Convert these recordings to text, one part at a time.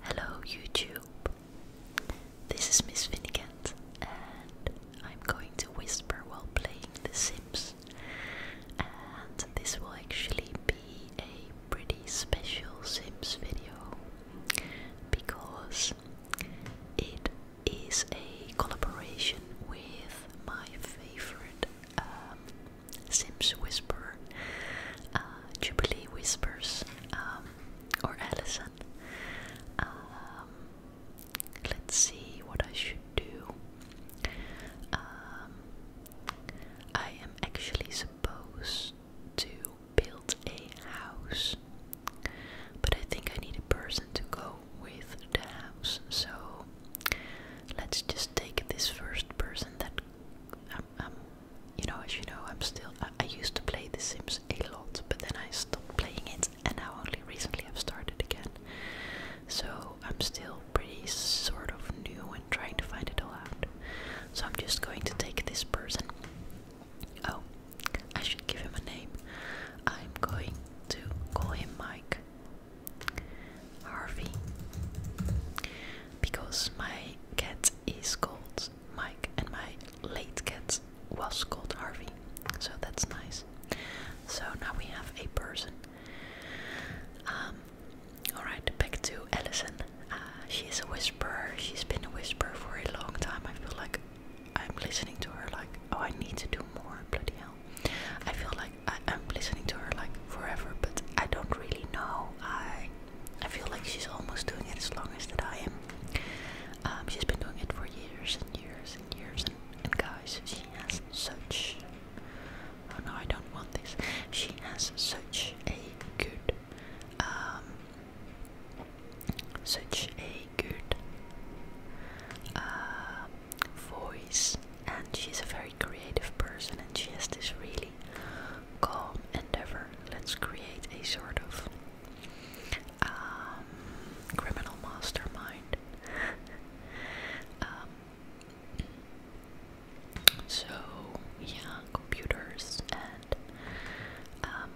Hello YouTube. This is Miss Finnegant and I'm going to whisper while playing The Sims. And this will actually be a pretty special Sims video because it is a collaboration with my favorite um, Sims Whisper, uh, Jubilee Whispers, um, or Allison. Um, let's see what I should do. Um, I am actually supposed to build a house, but I think I need a person to go with the house, so let's just take this first person that I'm you know, as you know, I'm still. I, used to play The Sims a lot, but then I stopped playing it, and now only recently I've started again. So I'm still pretty sort of new and trying to find it all out. So I'm just going to take this person. Oh, I should give him a name. I'm going to call him Mike. Harvey because my cat is called Mike and my late cat was called Harvey. So that's nice. So now we have a person. Um, Alright, back to Allison. Uh, she is a whisperer. She's been a whisperer for a long time. I feel like I'm listening to her like, oh, I need to do more. Bloody hell. I feel like I'm listening to her like forever, but I don't really know. I I feel like she's almost doing it as long as that I am. Um, she's been doing it for years and years and years, and, guys, she has such. Oh no, I don't want this. She has such a good, um, such a good uh, voice, and she's a very creative person, and she has this really really calm endeavor. Let's create a sort of um, criminal mastermind. Um, so, yeah, computers and um,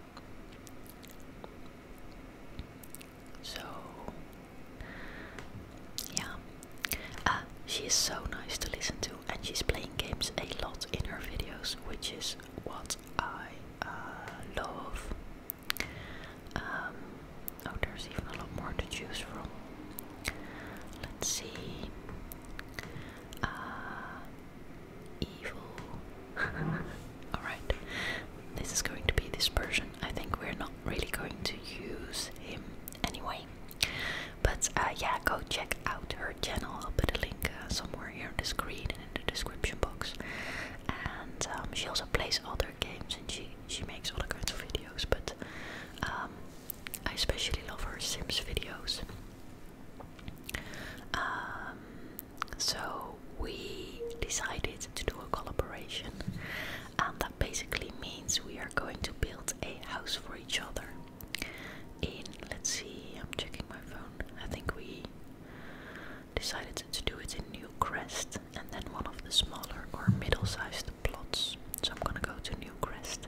so yeah. Uh, she is so nice to listen to, and she's playing games a lot in her videos, which is what I uh, love. Um, oh, there's even a lot more to choose from. Let's see. Uh, evil. Alright, this is going to be this version. I think we're not really going to use him anyway. But uh, yeah, go check out her channel. I'll put a link uh, somewhere here on the screen and in the description box. And um, she also plays other games and she she makes other kinds of videos. But um, I especially love her Sims videos. Um, so we decided to do a collaboration, and that basically means we are going to build a house for each other in let's see, I'm checking my phone. I think we decided to do it in New Crest, and then one of the smaller or middle-sized plots. So I'm gonna go to New Crest,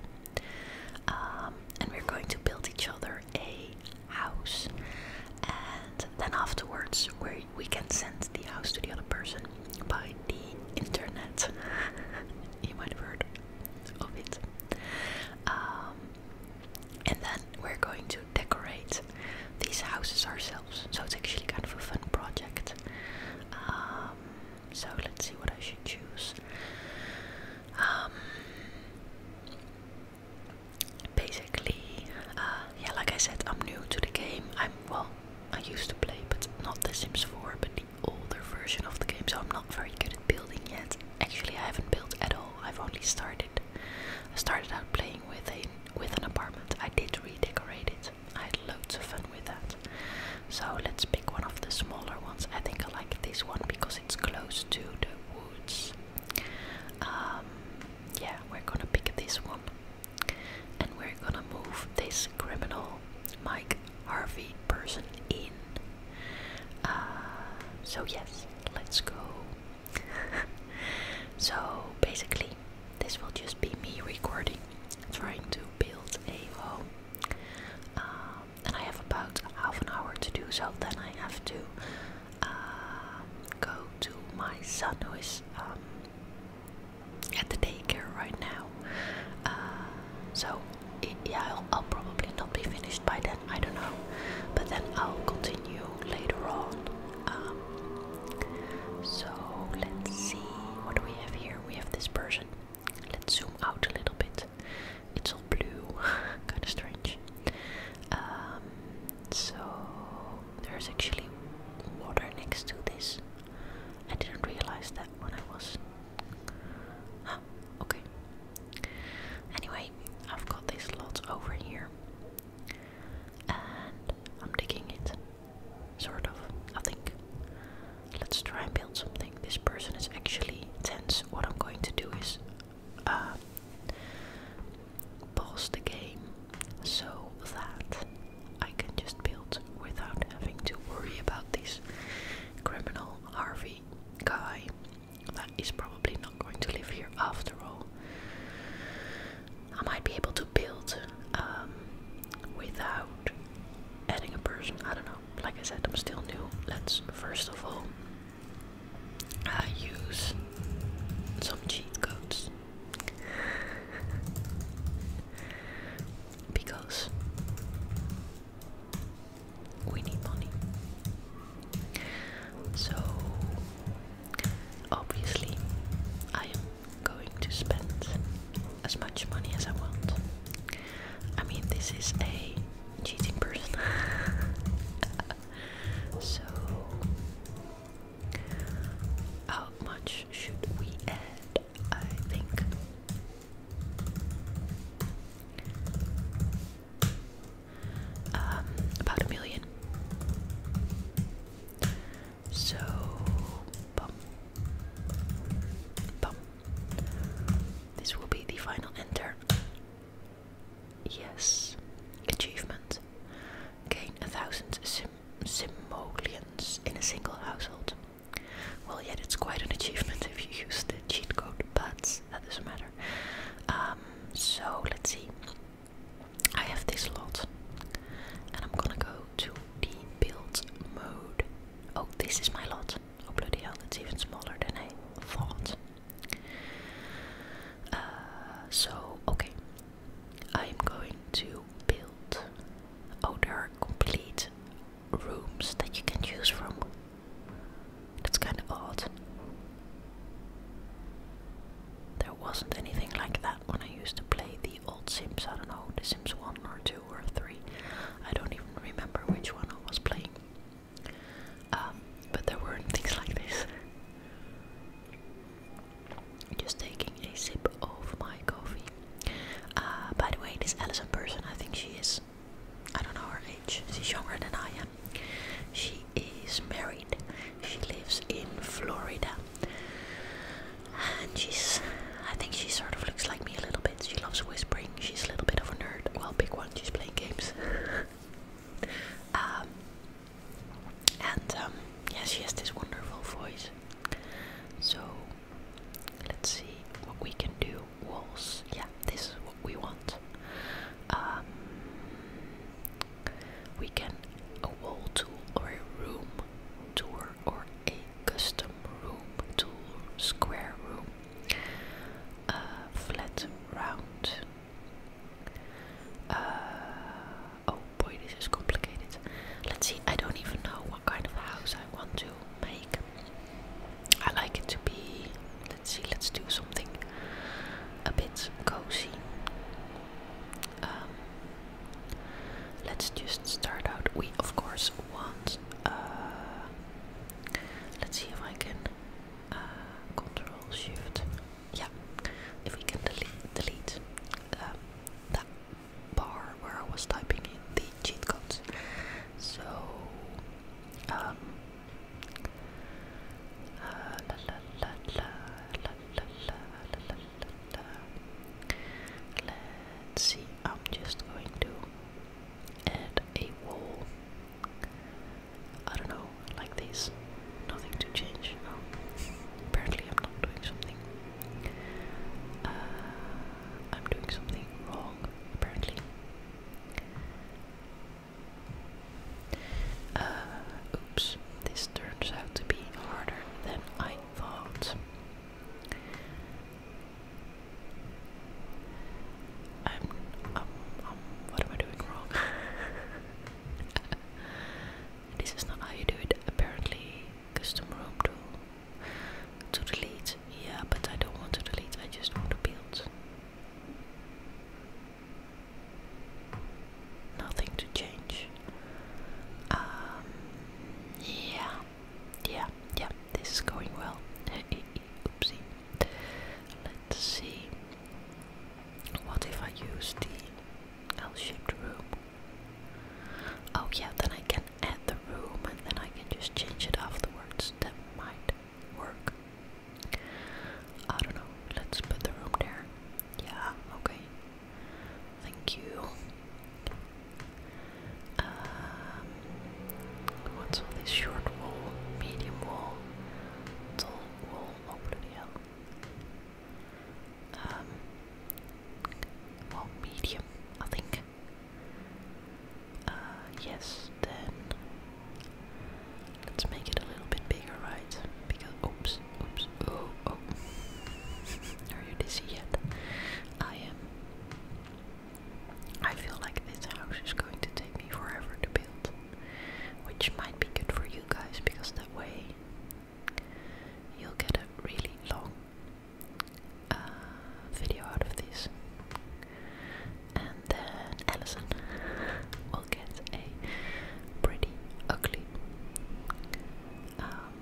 um, and we're going to build each other a house. And then afterwards we we can send the house to the other person by the internet. you might have heard of it. Um, and then we're going to decorate these houses ourselves. So it's actually kind of a fun project. Um, so let's see what I should choose. Um, basically, uh, yeah, like I said, I'm new to the game. I'm well, I used to play, but not The Sims 4, but the older version of the game, so I'm not very good at building yet. Actually, I haven't built at all. I've only started. I started out playing with a with an apartment. I did redecorate it. I had loads of fun with that. So let's pick one of the smaller ones. I think I like this one because it's close to the woods. Um, yeah, we're gonna pick this one, and we're gonna move this criminal, Mike Harvey person in. Uh, so, yes, let's go. so, basically, this will just be me recording, trying to build a home. Um, and I have about half an hour to do so, then I have to uh, go to my son who is um, at the daycare right now. Uh, so yeah, I'll, probably not be finished by then. I don't know, but then I'll continue later on. Um, so let's see what do we have here. We have this person. Let's zoom out a little bit. It's all blue, kind of strange. Um, so there's actually water next to this. I didn't realize that when I was okay. Anyway, I've got this lot over here. And I'm digging it. Sort of, I think. Let's try and build something. This person is actually tense. What I'm going to do is uh, pause the game so that I can just build without having to worry about this criminal Harvey guy that is probably not going to live here after all. I might be able to build um, without adding a person. I don't know. Like I said, I'm still new. Let's first of all uh, use some cheat codes. because we need money. So obviously I am going to spend as much money as I want. I mean this is a cheating person. so how much should we add? I think um, about a million. So, This will be the final enter. Yes, achievement. Gain a thousand sim simoleons in a single household. Well, yet it's quite an achievement if you use the cheat code, but that doesn't matter. Um, so let's see. I have this lot, and I'm gonna go to the build mode. Oh, this is my lot. Oh, bloody hell, it's even smaller than I thought. Uh, so, okay, I'm going to build. Oh, there are complete rooms that you can use from. That's kind of odd. There wasn't anything like that when I used to play the old Sims. I don't know, the Sims 1 or 2 or 3. I don't even remember which one I was playing. Um, but there weren't things like this. Just taking a sip of my coffee. Uh, by the way, this Alison person, I think she is I don't know her age, she's younger than I am. She is married, she lives in Florida, and she's I think she sort of looks like me a little bit. She loves whispering, she's a little bit of a nerd. Well, big one, she's playing games. Um, and um, yeah, she has this wonderful voice. So let's see what we can do walls. Yeah, this is what we want. Um, we can a wall tool or a room tour or a custom room tool, square room, uh, flat, round. Uh, oh boy, this is complicated. Let's see, I don't even know what kind of house I want to make. I like it to be. Let's see, let's do something a bit cozy. Um, let's just start out. We, of course, want. Uh, let's see if I can. Uh, control shift. Yeah, if we can delete, delete um, the bar where I was typing in the cheat codes. So, um, Let's see. I'm just going to add a wall. I don't know, like this. Nothing to change. apparently I'm not doing something. Uh, I'm doing something wrong. Apparently. Uh, oops, this turns out to be harder than I thought. i um, um, what am I doing wrong? this is not how you do it, apparently. Custom room tool. To delete, yeah, but I don't want to delete, I just want to build nothing to change. Um, yeah, yeah, yeah, this is going well. Oopsie. Let's see. What if I use the L shaped room? Oh, yeah, then I can add the room and then I can just change it afterwards. That might work. I don't know. Let's put the room there. Yeah, okay. Thank you. Um, what's all this short wall, medium wall, tall wall? Oh bloody um, well, medium, I think. Uh, yes, then let's make it a little bit bigger, right? Because, oops, oops, oh, oh. Are you dizzy yet? I am. I feel like this house is going to take me forever to build, which might be good for you guys because that way you'll get a really long uh, video out of this and then Allison will get a pretty ugly um,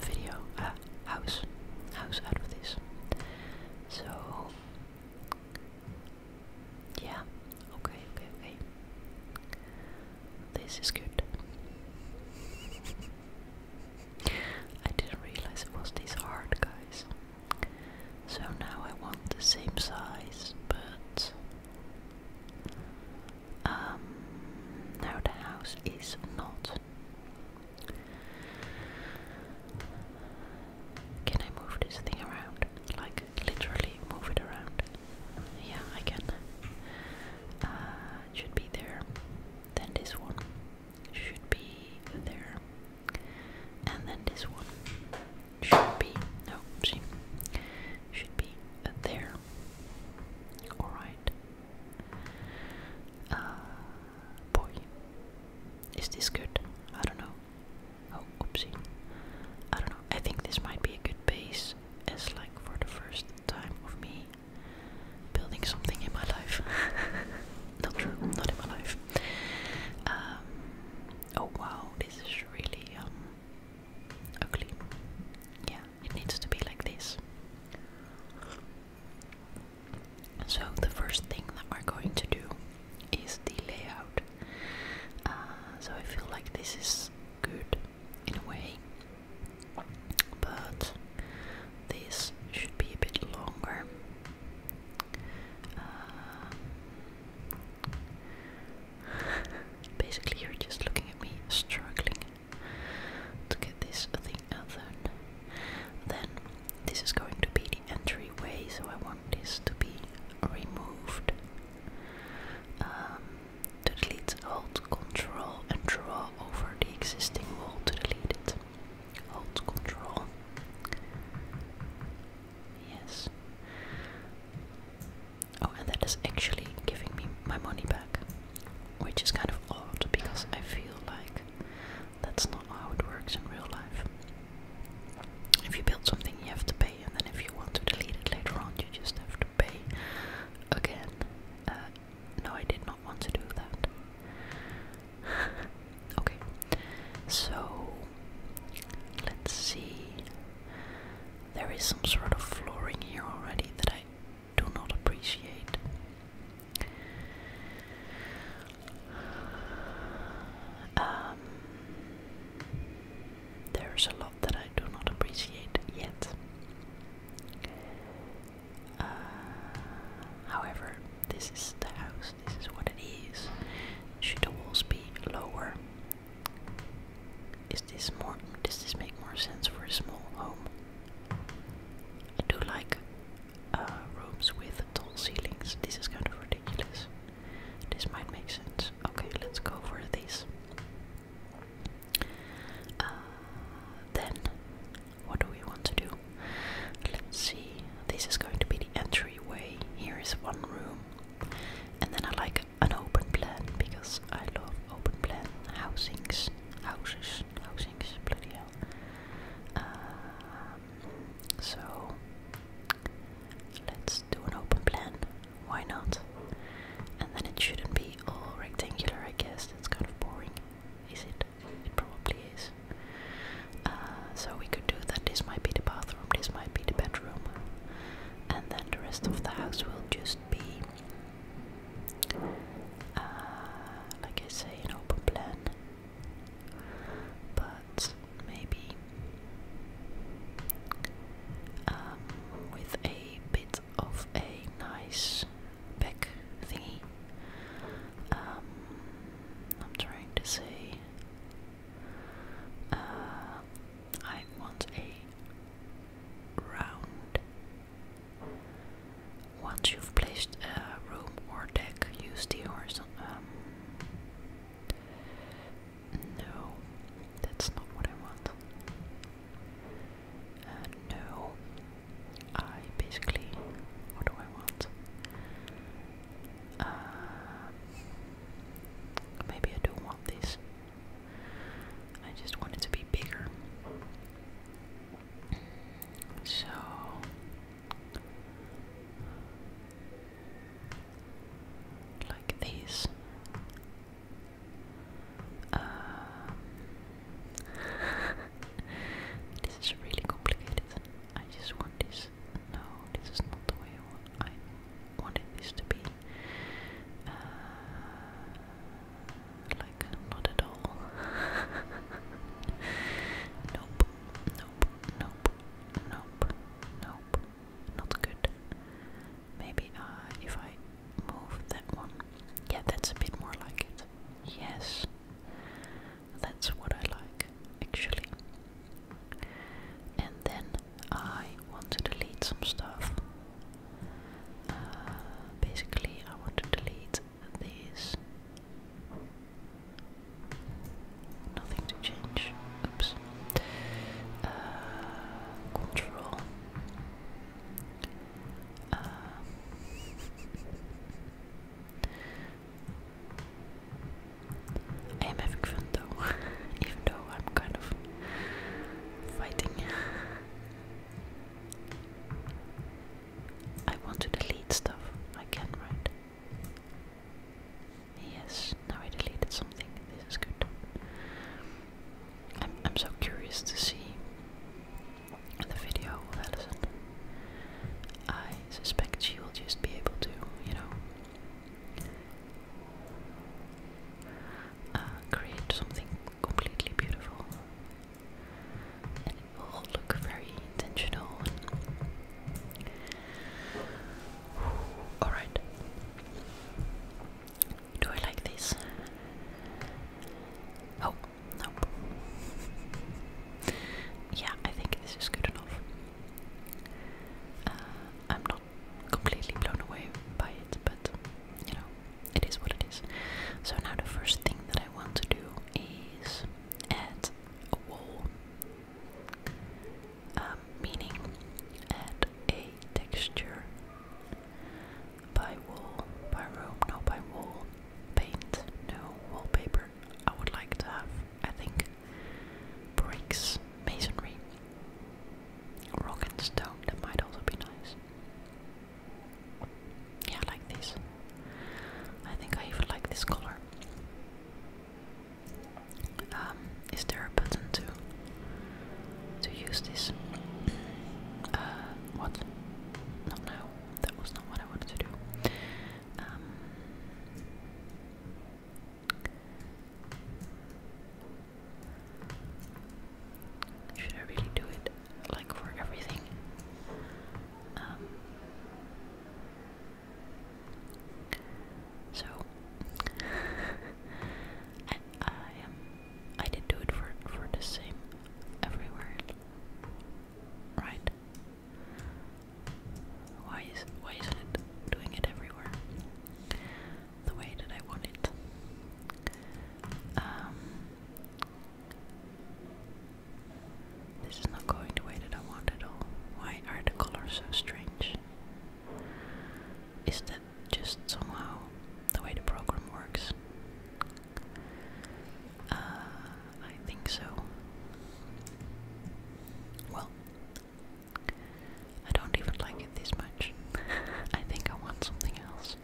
video uh, house house out of this. So yeah, okay, okay, okay. This is good. I didn't realize it was this hard, guys. So now I want the same size, but um, now the house is not. Can I move this thing around? Like literally move it around? Yeah, I can. Uh, should be there. Then this one should be there. And then this one should be no see should be there. Alright. Uh boy. Is this good? I don't know. Oh oopsie. I don't know. I think this might be a good base as like for the first time of me building something in my life. not true, not in my life. Um, oh wow, this is really um, ugly. Yeah, it needs to be like this. So the first thing that we're going to do is the layout. Uh, so I feel like this is good in a way, but this should be a bit longer. Um, basically, you're just looking at me struggling to get this thing out there. Then, this is going to be the entryway, so I want this to be removed. Um, to delete, hold, control, and draw over the existing wall to delete it. Holds control. Yes. Oh, and that is actually giving me my money back, which is kind of odd because I feel like that's not how it works in real life. If you build something, you have to pay, and then if you want to delete it later on, you just have to pay again. Uh, no, I did not want to do that. okay, so let's see. There is some sort of flooring here already that I do not appreciate. Um, there's a lot that I do not appreciate yet. Uh, however, this is the house this is what it is. Should the walls be lower? Is this more? Does this make more sense for a small home? I do like uh, rooms with tall ceilings. This is kind of ridiculous. This might make sense. Okay, let's go for this. Uh, then, what do we want to do? Let's see. This is going to be the entryway. Here is one room. And then I like an open plan because I love open plan housings. Houses. Housings. Bloody hell. Um, so let's do an open plan. Why not? And then it shouldn't be all rectangular, I guess. That's kind of boring, is it? It probably is. Uh, so we could do that. This might be the bathroom, this might be the bedroom, and then the rest of the house will just be, uh, like I say, an open plan. But maybe um, with a bit of a nice back thingy. Um, I'm trying to say uh, I want a round. Once you've placed a room or deck, use the horizontal. Um, no, that's not what I want. Uh, no, I basically. What do I want? Um, maybe I don't want this. I just want it to be bigger. So like these. Um, uh, this is really complicated. I just want this this. No, this is not the way I, want, I wanted this to be. Uh, like, not at all. nope, nope, nope, nope, nope. Not good. Maybe uh, if I move that one. Yeah, that's a bit more like it. Yes. That's what I like, actually. And then I want to delete some stuff. Uh, basically, I want to delete these. Nothing to change. Oops. Uh, control. Uh, I am having fun though, even though I'm kind of fighting. I want to delete stuff. I can, right? Yes, now I deleted something. This is good. I'm so curious to see the video of Alison. I suspect she will just be able to, you know, uh, create something completely beautiful. And it will look very intentional. Alright. Do I like this? Oh, nope. yeah, I think this is good enough. Uh, I'm not completely blown away by it, but you know, it is what it is. So now the first thing that I want to do is add a wall, um, meaning add a texture by wall, by room, no by wall, paint, no wallpaper. I would like to have, I think, bricks, masonry, rock and stone, that might also be nice. Yeah, like this. I think I even like this color. Um, is there a button to to use this? Uh, what? Not now. That was not what I wanted to do. Um, should I really do it like for everything? Um, so I, I am. Um, I did do it for for the same everywhere, right? Why is why isn't it doing it everywhere? The way that I want it. Um, this is not going the way that I want at all. Why are the colors so strange? Is that just somehow the way the program works? Uh, I think so. Well, I don't even like it this much. I think I want something else.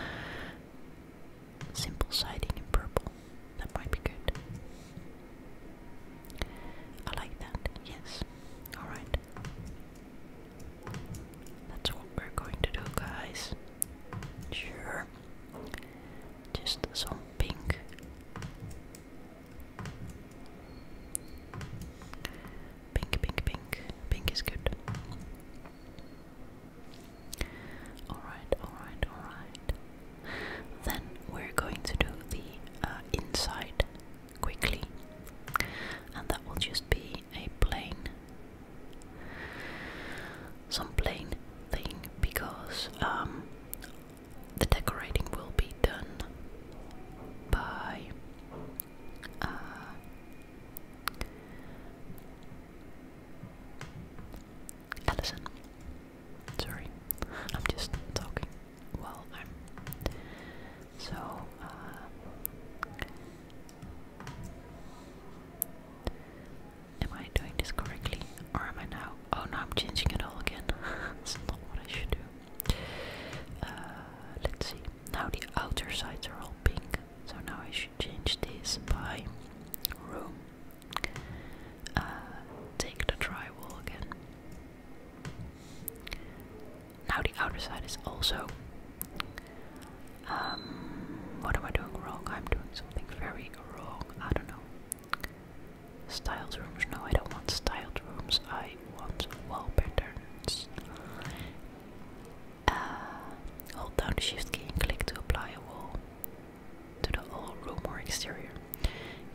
Simple siding in purple. That might be good. I like that, yes. Alright. That's what we're going to do, guys. Sure. Just some pink. Pink, pink, pink. is good. Alright, alright, alright. Then we're going to do the uh, inside quickly. And that will just be a plane. Some plain thing because um, the decorating will be done by uh, Sorry, I'm just talking while I'm. So, uh, Am I doing this correctly? Or am I now? Oh, now I'm changing it all again. That's not what I should do. Uh, let's see. Now the outer sides are all pink. So now I should change this by room. Uh, take the drywall again. Now the outer side is also. Um, what am I doing wrong? I'm doing something very wrong. I don't know. Styled rooms? No, I don't want styled rooms. I want wall patterns. Uh, hold down the shift key and click to apply a wall to the whole room or exterior.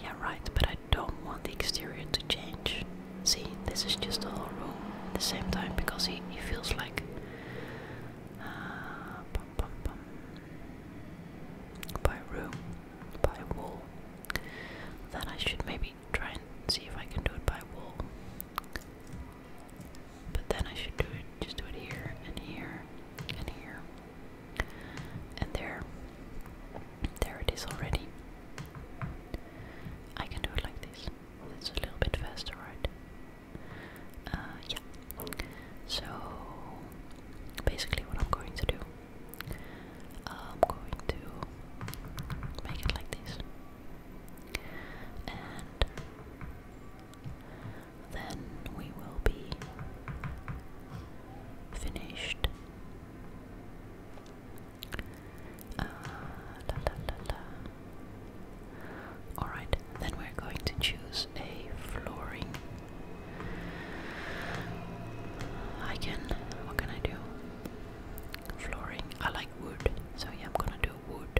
Yeah, right, but I don't want the exterior to change. See, this is just the whole room at the same time because he, he feels like. Uh, By room, by wool, then I should maybe try and see if I can do it by wool. But then I should do it, just do it here, and here, and here, and there. There it is already. I can do it like this. It's a little bit faster, right? Uh, yeah. So, basically, what I'm going to do I'm going to make it like this. And then we will be finished. Uh, Alright, then we're going to choose a flooring I can. What can I do? Flooring. I like wood, so yeah, I'm gonna do wood.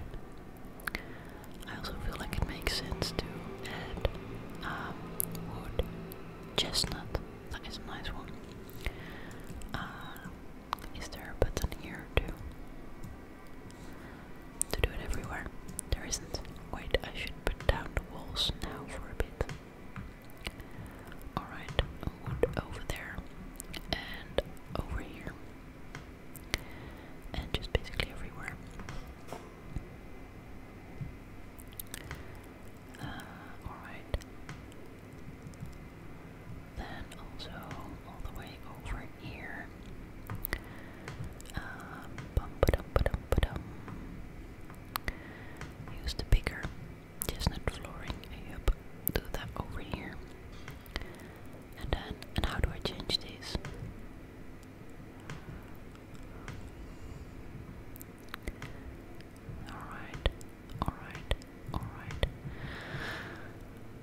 I also feel like it makes sense to add um, wood, chestnut. That is a nice one. Uh, is there a button here too? To do it everywhere. There isn't. Wait, I should put down the walls now for a bit. Alright, over there and over here. And just basically everywhere. Uh, Alright. Then also all the way over here. Uh, Use the bigger chestnut flooring. Yep, do that over here. And then, and how do I change these? Alright, alright, alright.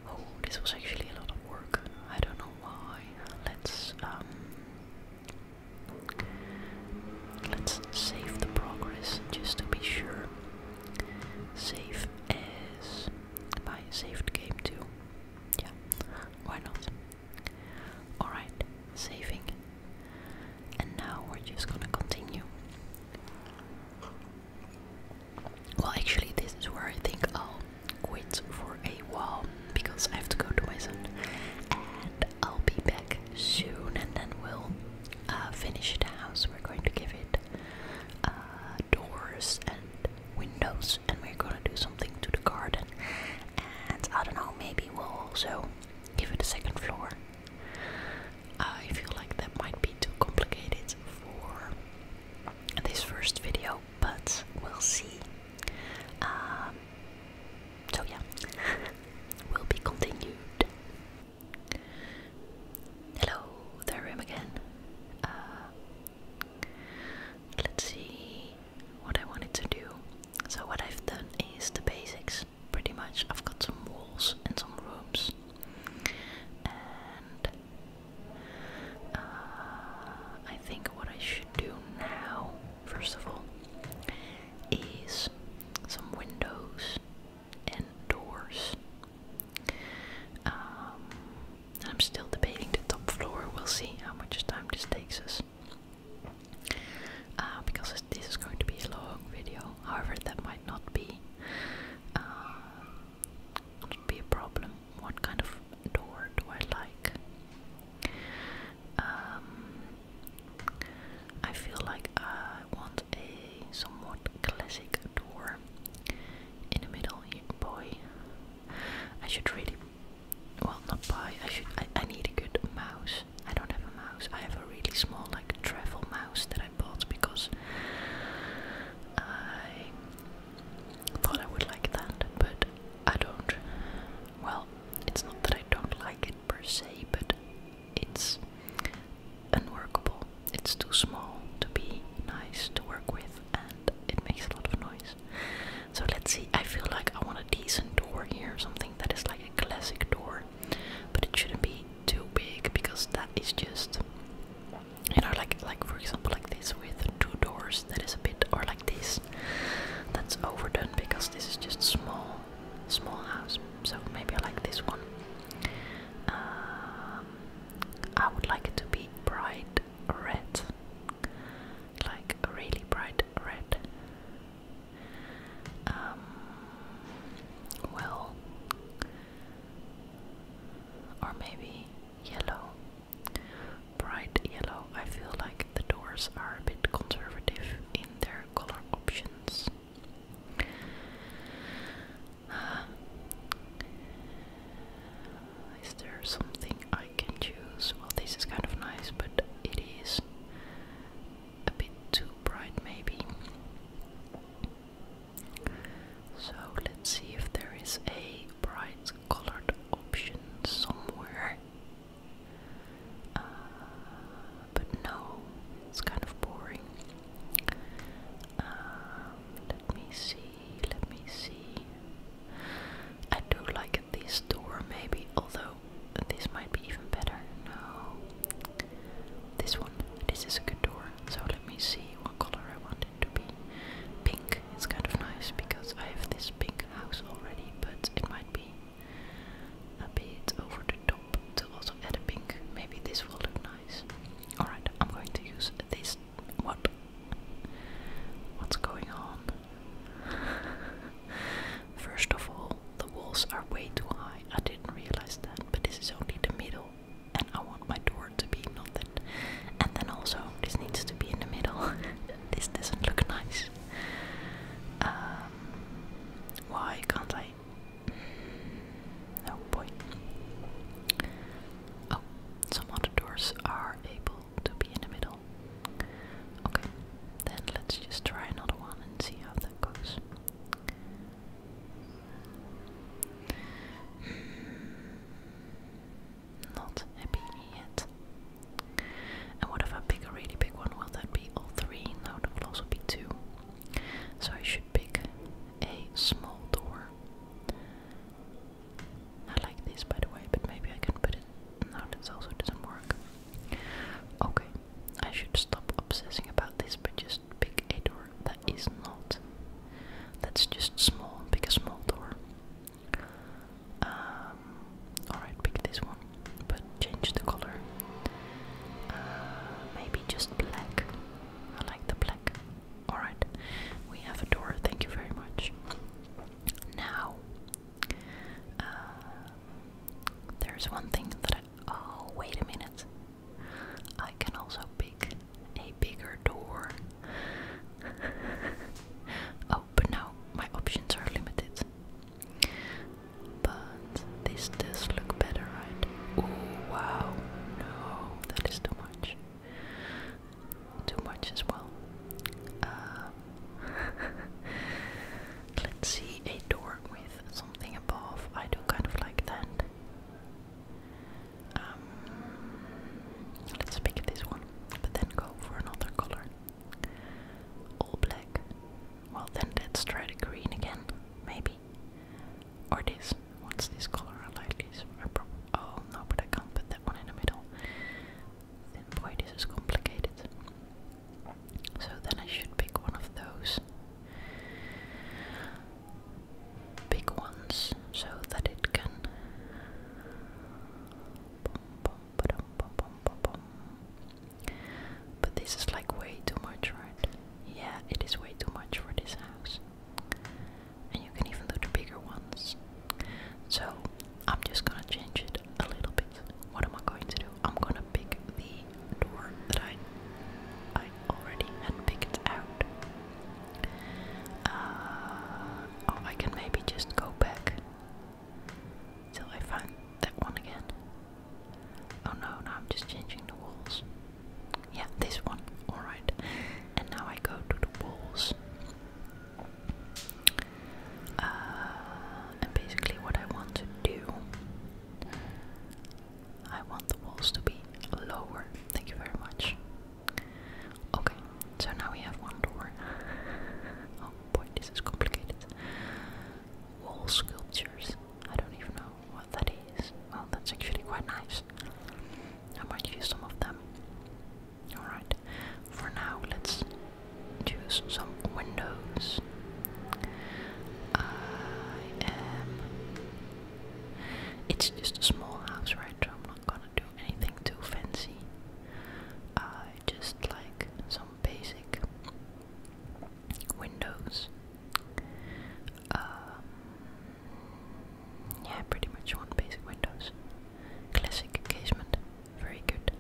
Oh, this was actually a lot of work. I don't know why. Let's um, Let's save the progress just to be sure. Save as my saved game too. Yeah, why not? Alright, saving. And now we're just gonna continue. Well, actually, this is where I think I'll quit for a while because I have to go to my son. And I'll be back soon, and then we'll uh, finish the house. We're going to give it uh, doors and windows, and we're gonna do something to the garden. And I don't know, maybe we'll also give it a second floor. I feel like that might be too complicated for this first video, but we'll see. Um, so yeah, will be continued. Hello, there I again. Uh, let's see what I wanted to do. So what I've done is the basics. Pretty much, I've got some walls and some rooms, and uh, I think what I should do now, first of all, is some windows and doors. Um, I'm still debating the top floor. We'll see how much time this takes us. Uh, because this is going to be a long video, however, that might not be not uh, be a problem. What kind of door do I like? Um, I feel like I want a somewhat classic door in the middle. Boy, I should really well not buy. I should. I, I need a good mouse. I don't have a mouse. I have a really small like travel mouse that I bought because I thought I would like that, but I don't. Well, it's not that I don't like it per se, but it's unworkable. It's too small to be nice to work with, and it makes a lot of noise. So let's see. I feel like I want a decent door here, something that is like a classic door, but it shouldn't be too big because that is just you know like like for example like this with two doors that is a bit or like this that's overdone because this is just small small house, so maybe I like this one. Um, I would like it to be bright red, like really bright red. Um, well, or maybe yellow, bright yellow. I feel like the doors are a bit conservative in their color options. Uh, is there something I can choose? Well, this is kind of nice, but it is a bit too bright, maybe. So let's see if there is a bright colored option somewhere uh, but no, it's kind of boring. Um, let me see, let me see. I do like this door maybe, although this might be even better. No. This one. This is a good door. So let me see what color I want it to be. Pink. It's kind of nice because I have this pink house already, but it might be a bit over the top to also add a pink. Maybe this will look nice. Alright, I'm going to use this. What? What's going on? First of all, the walls are way too high. I didn't realize that, but this is only the middle, and I want my door to be not that. And then also, this needs to be in the middle. this doesn't look nice. Uh, why can't I? Oh boy. Oh, some other doors are able to be in the middle. Okay, then let's just try another one and see how that goes. Hmm. Not happy yet. And what if I pick a really big one? Will that be all three? No, that will be two. So I should pick a small door. I like this, by the way, but maybe I can put it. No, this also doesn't work. Okay, I should stop obsessing about this, but just pick a door that is not. That's just small. Pick a small door. Uh, alright, pick this one, but change the color. Uh, maybe just black. I like the black. Alright, we have a door, thank you very much. Now, uh, there's one thing that Oh, wait a minute. I can also pick a bigger door. oh, but now my options are limited. But this does look better, right? Oh wow, no, that is too much. Too much as well. Uh, let's see a door with something above. I do kind of like that. Um, let's pick this one, but then go for another color. All black. Well, then let's try the green again, maybe. Or this. What's this color? like this. oh no, but I can't put that one in the middle. this is complicated. So then I should pick one of those big ones so that it can. But this is like way too much, right? Yeah, it is way too much for this house. And you can even do the bigger ones. So I'm just gonna change it a little bit. What am I going to do? I'm gonna pick the door that I I already had picked out. Uh, oh, I can maybe just go back till I find that one again. Oh no, now I'm just changing the walls. Yeah, this one. Alright. And now I go to the walls. Uh, and basically, what I want to do, I want the walls to be lower. Thank you very much. Okay, so now we have one door. oh boy, this is complicated wall sculptures. I don't even know what that is. Well, that's actually quite nice. I might use some of them. Alright, for now let's choose some windows. I am. It's just a small house, right? So I'm not gonna do anything too fancy. I just like some basic Windows. Um, yeah, pretty much on basic Windows. Classic casement, very good.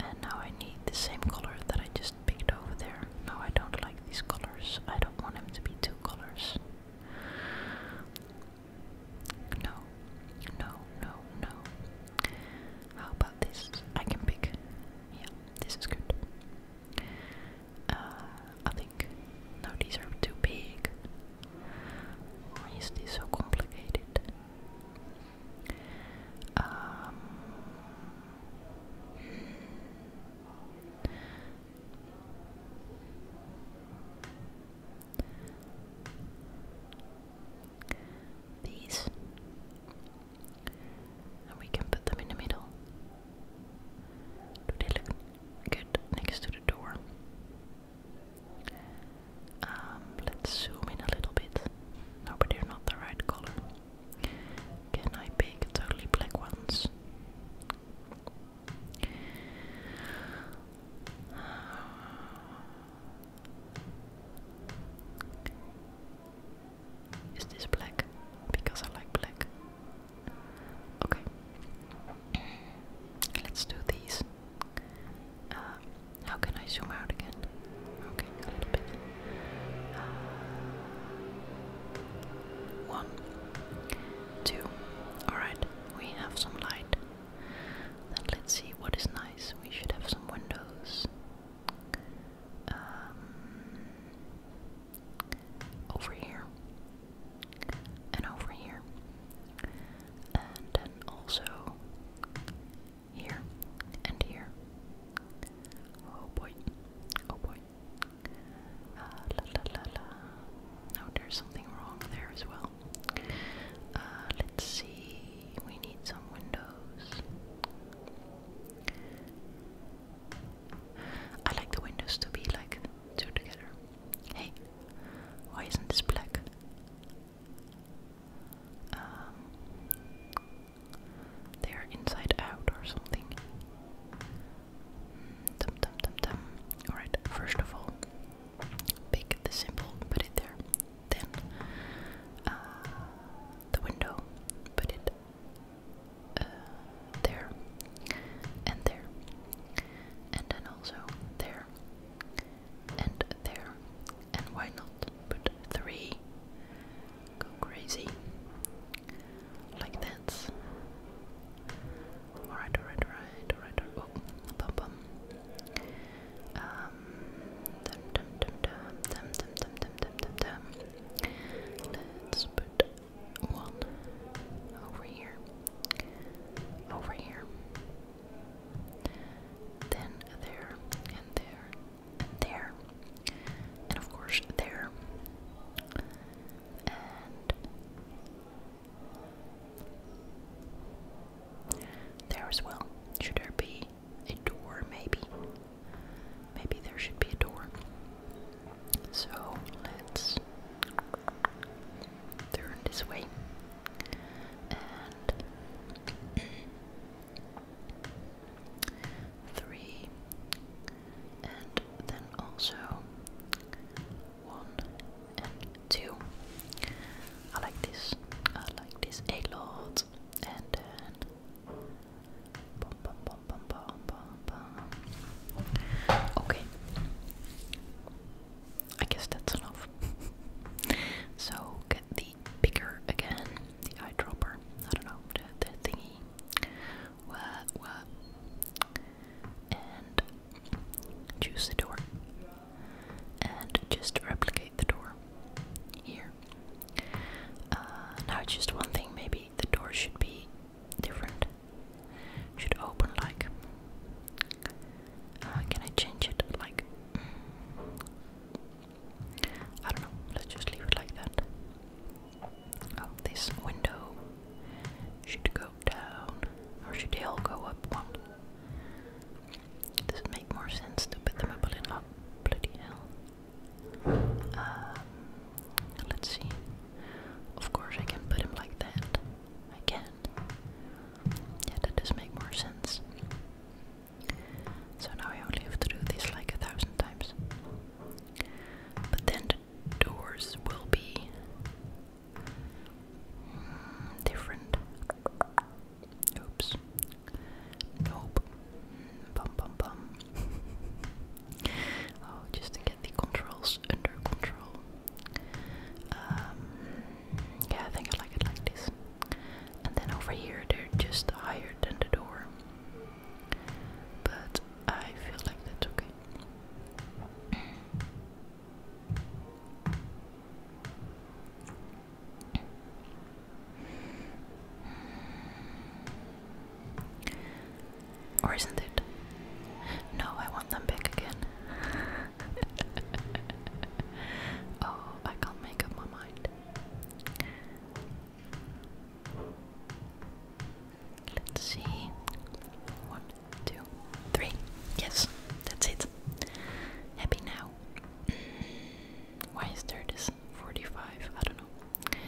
And now I need the same color that I just picked over there. No, I don't like these colors. I don't want them to be two colors. No, no, no, no. How about this? I can pick. Yeah, this is good. Uh, I think. No, these are too big. Why is this so complicated? Um, these and we can put them in the middle. Do they look good next to the door? Um, let's zoom in a little bit. No, but they're not the right color. Can I pick totally black ones? Is this black? Because I like black. Okay. Let's do these. Uh, how can I zoom out again? Okay, a little bit. Uh, one, two. Alright, we have some light. Then let's see what is nice. We should have some windows um, over here, and over here, and then also here and here. Oh boy, oh boy. Uh, la, la, la, la. No, oh, there's something wrong there as well. Uh, let's see, we need some windows. I like the windows to be like two together. Hey, why isn't this black? Um, they are inside out or something. Mm, dum dum dum Alright, first of all, pick the symbol, put it there than uh, the window. Put it uh, there and there, and then also there and there. And why not put three? Go crazy like that. Alright, alright, alright, alright. Oh, bum bum. Uh, Let's put one over here, over here, then there, and there, and there, and of course there, and. There as well. Should there be a door, maybe. Maybe there should be a door. So let's turn this way. And three. And then also one and two. I like this. I like this a lot. And then Okay. I guess that's enough. so get the picker again, the eyedropper. I don't know, the, thingy. Wah, wah. And choose the door. And just replicate the door here. Uh, now just one thing, maybe the door should be different. Should open like. Uh, can I change it like? Mm, I don't know. Let's just leave it like that. Oh, this window should go down, or should the all go up Does make more sense to put them up a up? Bloody hell. Um, let's see. Of course, I can put him like that. I can. Yeah, that does make more sense. So now I only have to do this like a thousand times. But then doors will be mm, different. Oops. Nope. Bum bum bum. oh, just to get the controls under control. Um, yeah, I think I like it like this. And then over here, they're just higher than the door. But I feel like that's okay. Or isn't it? No, I want them back again. oh, I can't make up my mind. Let's see. One, two, three. Yes, that's it. Happy now. Why is there this 45? I don't know.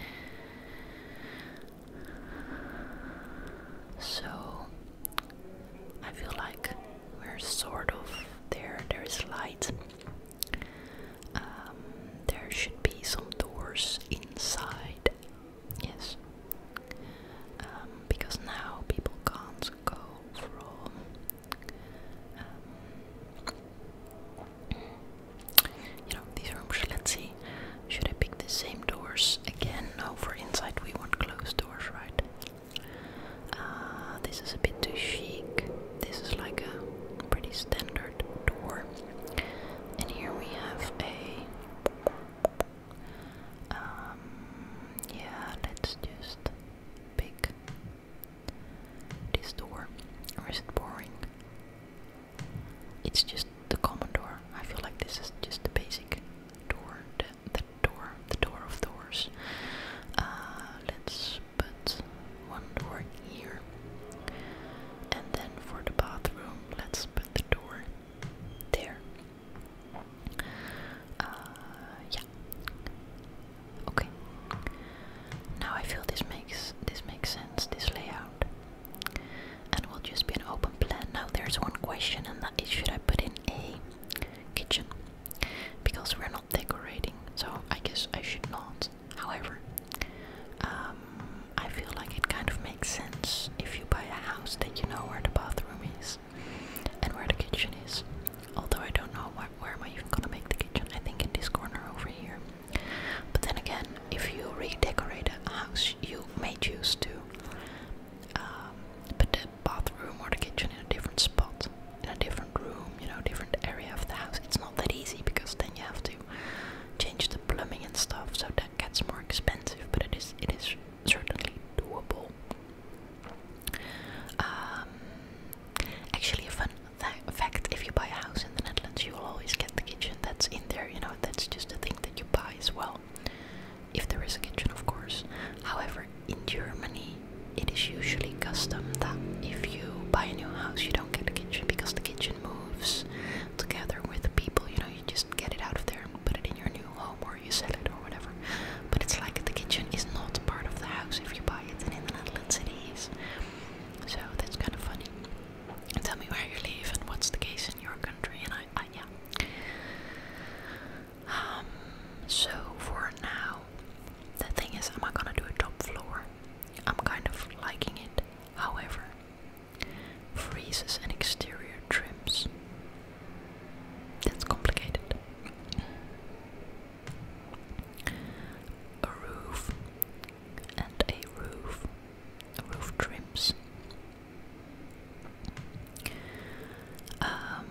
So I feel like we're sort of there. There is light. Um, there should be some doors inside. Yes. Um, because now people can't go from um, you know, these rooms, let's see. Should I pick the same doors again? No, for inside we want closed doors, right? Uh, this is a bit too chic. This is like a pretty standard door. And here we have a. Um, yeah, let's just pick this door, or is it boring? It's just the common door. I feel like this is just the basic door, the, the door, the door of doors. Uh, let's put one door here, and then for the bathroom, let's put the door there. Uh, yeah. Okay. Now I feel this makes this makes sense, this layout. And will just be an open plan. Now there's one question and that is should I put in a kitchen? Because we're not decorating, so I guess I should not. However, um, I feel like it kind of makes sense if you buy a house that you know where the bathroom is and where the kitchen is. Although I don't know where am I even gonna make the kitchen. I think in this corner over here. But then again, if you redecorate a house, you may choose to um, put the bathroom or the kitchen in a different spot, in a different room, you know, different area of the house. It's not that easy because then you have to change the plumbing and stuff, so that gets more expensive. But it is it is certainly doable. Um, Actually, a fun fact if you buy a house in the Netherlands, you will always get the kitchen that's in there, you know, that's just a thing that you buy as well. If there is a kitchen, of course. However, in Germany, it is usually custom that if you buy a new house, you don't get the kitchen because the kitchen moves together with the people. You know, you just get it out of there and put it in your new home or you sell it or whatever. But it's like the kitchen is not part of the house if you buy it, and in the Netherlands it is. So that's kind of funny. tell me where you live and what's the case in your country, and I, yeah. Um, so for now, the thing is, am I gonna do a top floor? I'm kind of liking it. However, freezes and exterior trims. That's complicated. A roof, and a roof, roof trims. Um,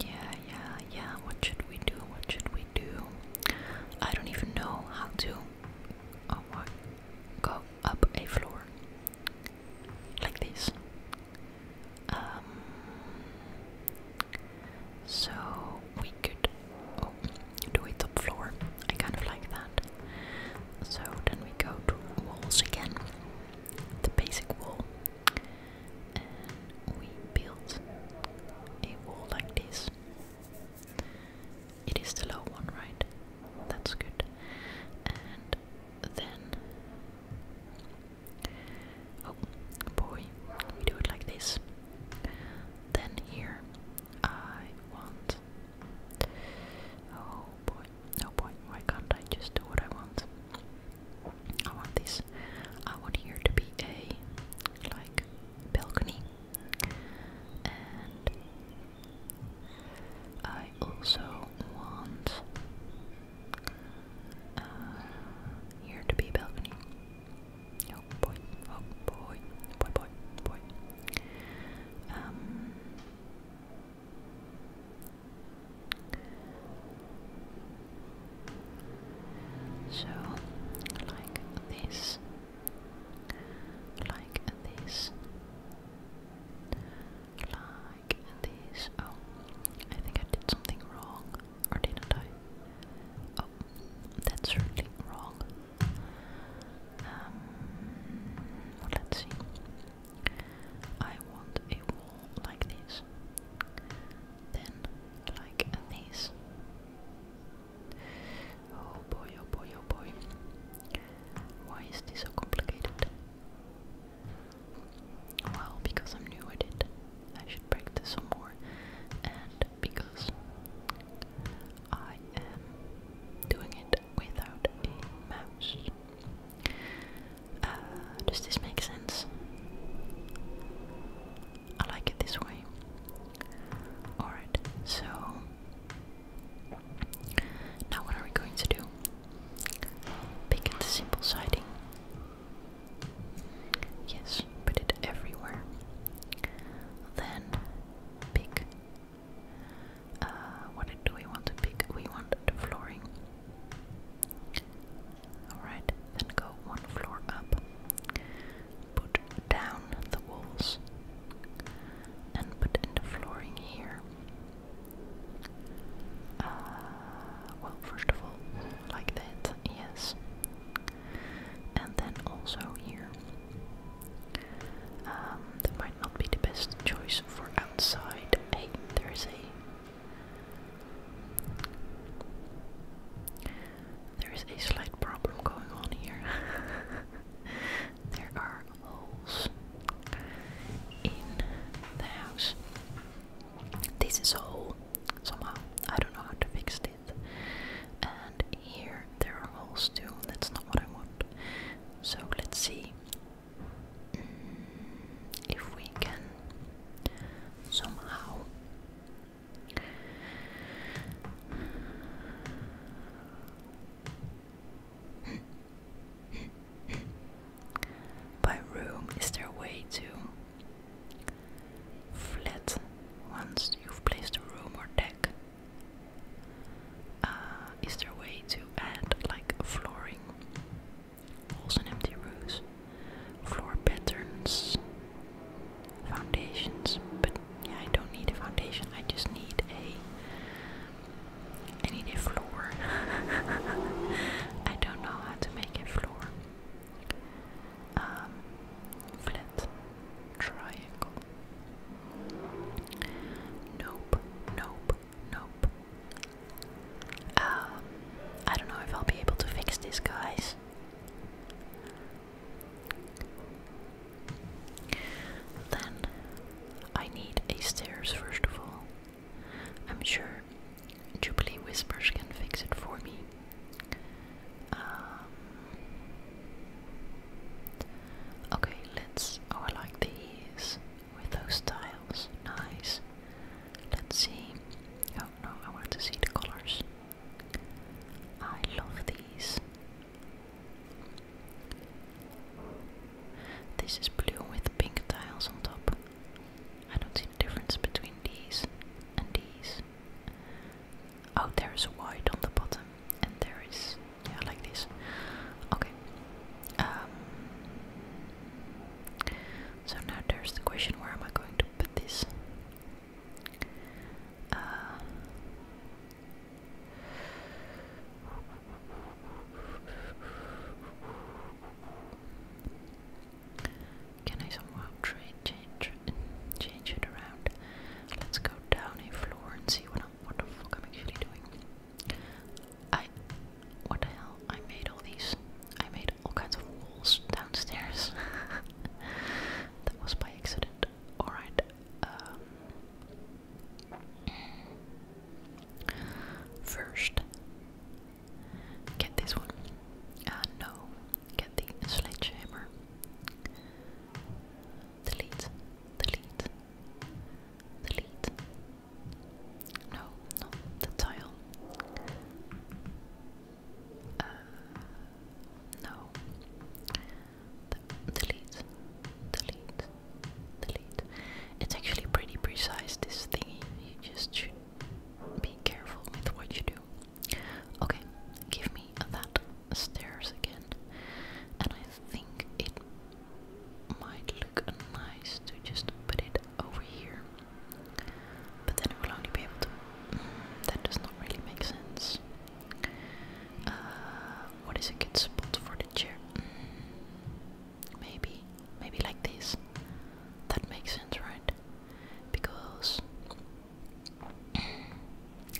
yeah, yeah, yeah. What should we do? What should we do? I don't even know how to oh, what? go up a floor like this. Um, so we we could oh, top floor. I kind of like that. So then we go to walls again, the basic wall, and we build a wall like this. It is the low one, right? That's good. And then Oh boy, we do it like this. Then here, I want. Oh boy, oh boy, why can't I just do what I want? I want this. I want here to be a like balcony, and I also want uh, here to be a balcony. Oh boy, oh boy, boy, boy, boy. Um, so, like this, like this, like this. Oh, I think I did something wrong. Or didn't I? Oh, that's certainly wrong. Um, well, let's see. I want a wall like this. Then, like this. Oh boy, oh boy, oh boy. Why is this so complicated? Well, because I'm new at it. I should practice some more and because I am doing it without a mouse. Uh, does this make sense? I like it this way. Alright, so now what are we going to do? Pick at the simple siding Yes, put it everywhere. Then pick. Uh, what do we want to pick? We want the flooring. Alright, then go one floor up. Put down the walls and put in the flooring here. Uh, well, first of all, like that, yes and then also here. Um, that might not be the best choice for outside. Hey, there is a there is a slight problem going on here. there are holes in the house. This is a hole somehow. I don't know how to fix this. And here there are holes too, that's not what I want. So let's see mm, if we can somehow. By room, is there way to Flat once you've placed a room or deck. Uh, is there a way to add like flooring? Holes and empty rooms, floor patterns, foundations. But yeah, I don't need a foundation. I just need a. I need a floor. I don't know how to make a floor um, triangle. Nope, nope, nope. Um, I don't know if I'll be able to fix this, guys. Then I need a stairs first of all. I'm sure Jubilee Whispers can fix it for me. Um, okay, let's. Oh, I like these with those tiles. Nice. Let's see. Oh no, I wanted to see the colors. I love these. This is blue with pink tiles on top. I don't see the difference between these and these. Oh, there is white on the bottom, and there is yeah, like this. Okay. Um, so now there's the question: Where am I going to put this? Uh, can I somehow change change it around? Let's go down a floor and see what I'm, the fuck I'm actually doing. I what the hell? I made all these. I made all kinds of walls downstairs. that was by accident. Alright. Um, first, get this one. Uh, no, get the sledgehammer. Delete. Delete. Delete. No, not the tile. Uh, no. delete. Delete. Delete. It's actually pretty precise, this thingy. You just should be careful with what you do. Okay, give me that stairs again. And I think it might look nice to just put it over here. But then we'll only be able to. Mm, that does not really make sense. Uh, what is a good spot for the chair? Mm, maybe, maybe like this. That makes sense, right? Because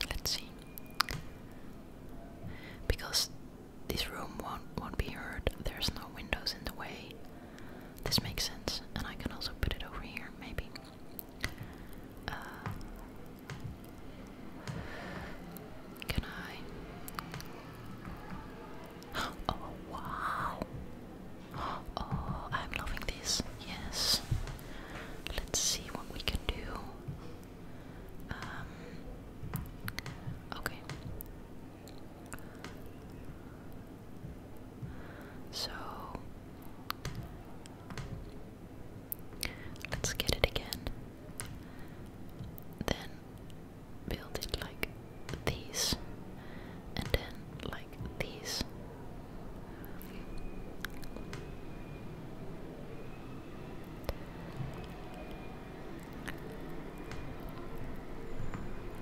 Let's see. Because this room won't won't be hurt. There's no windows in the way. This makes sense, and I can also put it over here, maybe. Uh, can I? Oh wow! Oh, I'm loving this. Yes. Let's see what we can do. Um, okay. So let's get it again. Then build it like these, and then like these,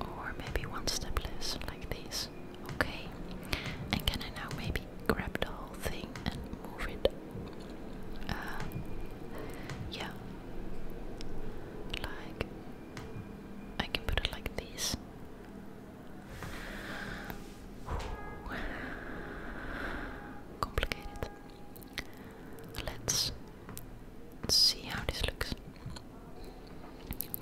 or maybe one step less, like this. Okay. And can I now maybe grab the whole thing and move it? Uh, yeah. Like, I can put it like this. Complicated. Let's see how this looks.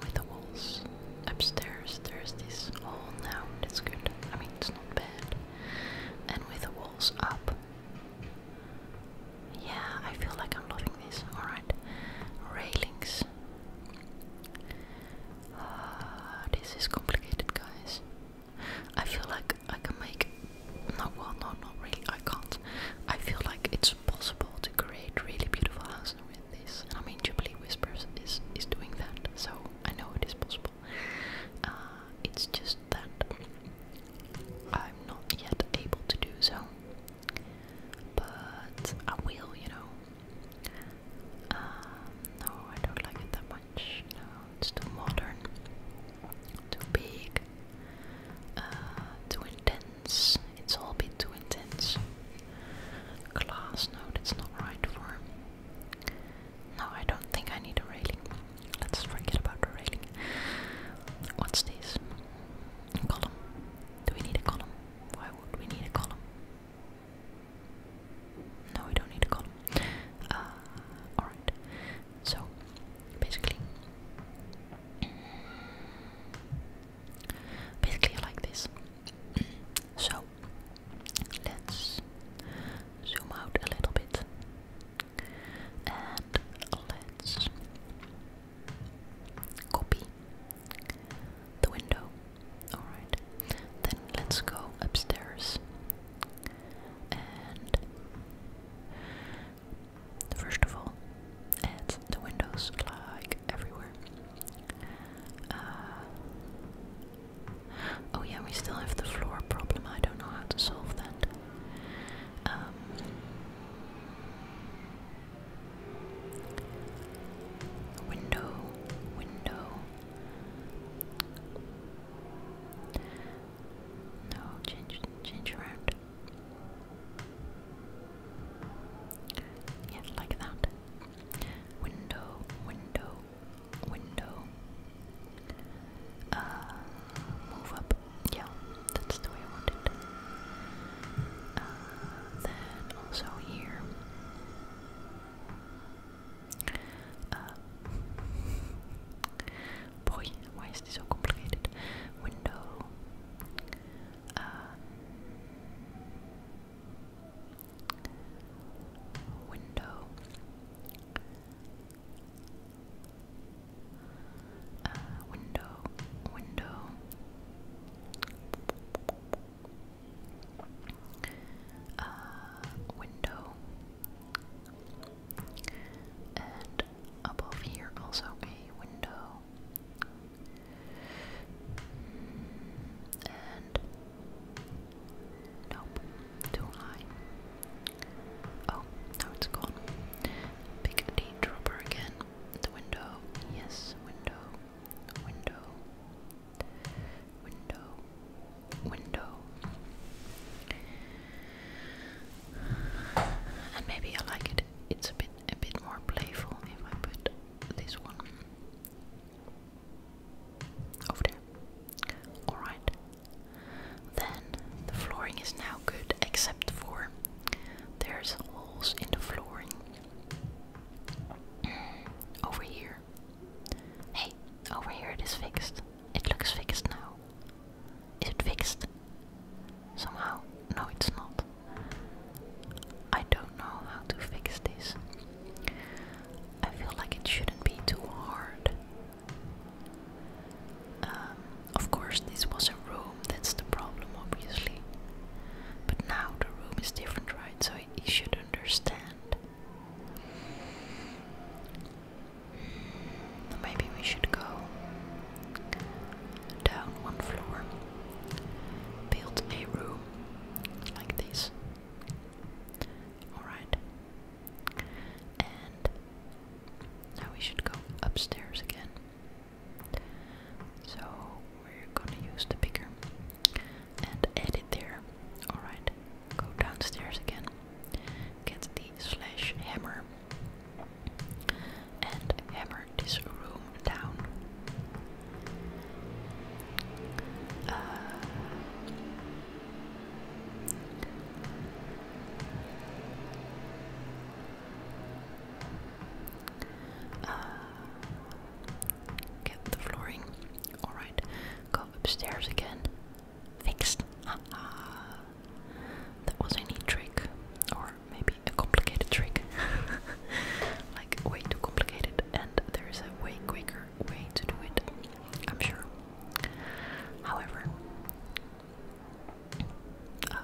With the walls upstairs, there's this hole now. That's good. I mean, it's not bad. And with the walls up. Yeah, I feel like I'm loving this. Alright. Railings. Ah, this is complicated, guys. I feel like I can make. No, well, no, not really. I can't. I feel like it's possible to create really beautiful houses with this. I mean, Jubilee Whispers is is doing that, so I know it is possible. Uh, it's just that I'm not yet able to do so, but I will, you know. Um, no, I don't like it that much. it's too modern, too big, uh, too intense. It's all a bit too intense. Glass, no, that's not right for. No, I don't think I need a railing. Let's forget about the railing. What's this? column. Do we need a column? Why would we need a column? No, we don't need a column. Uh, alright. So, basically. Basically, like this. So, let's zoom out a little bit. And let's copy the window. Alright, then let's go upstairs. And first of all, add the windows like everywhere. Uh, oh, yeah, we still have the floor problem. I don't know how to solve that. Um, Window, window. No, change, change around. Yes, like that. Window, window, window. Uh, move up. Yeah, that's the way I want it. Uh, then also here. Uh, boy, why is this so complicated? Window. Uh, uh, window. window. Window uh, window. And above here, also a window. And. Nope, too high. Oh, now it's gone. Pick the dropper again. The window. Yes, window. Window window, window, and maybe I like it. It's a bit a bit more playful if I put this one over there. All right. Then the flooring is now good, except for there's holes in the flooring over here Hey, over here it is fixed. It looks fixed now. Is it fixed? Somehow? No, it's not. I don't know how to fix this. I feel like it shouldn't be too hard. Um, of course, this was a room, that's the problem, obviously. But now the room is different, right? So you should understand Maybe we should go down one floor, build a room like this. Alright. And now we should go upstairs again. So we're gonna use the picker and add there. Alright, go downstairs again, get the slash hammer, and hammer this room down. Uh, uh, get the flooring Alright, go upstairs again. Fixed. that was a neat trick. Or maybe a complicated trick. like, way too complicated, and there is a way quicker way to do it, I'm sure. However, uh,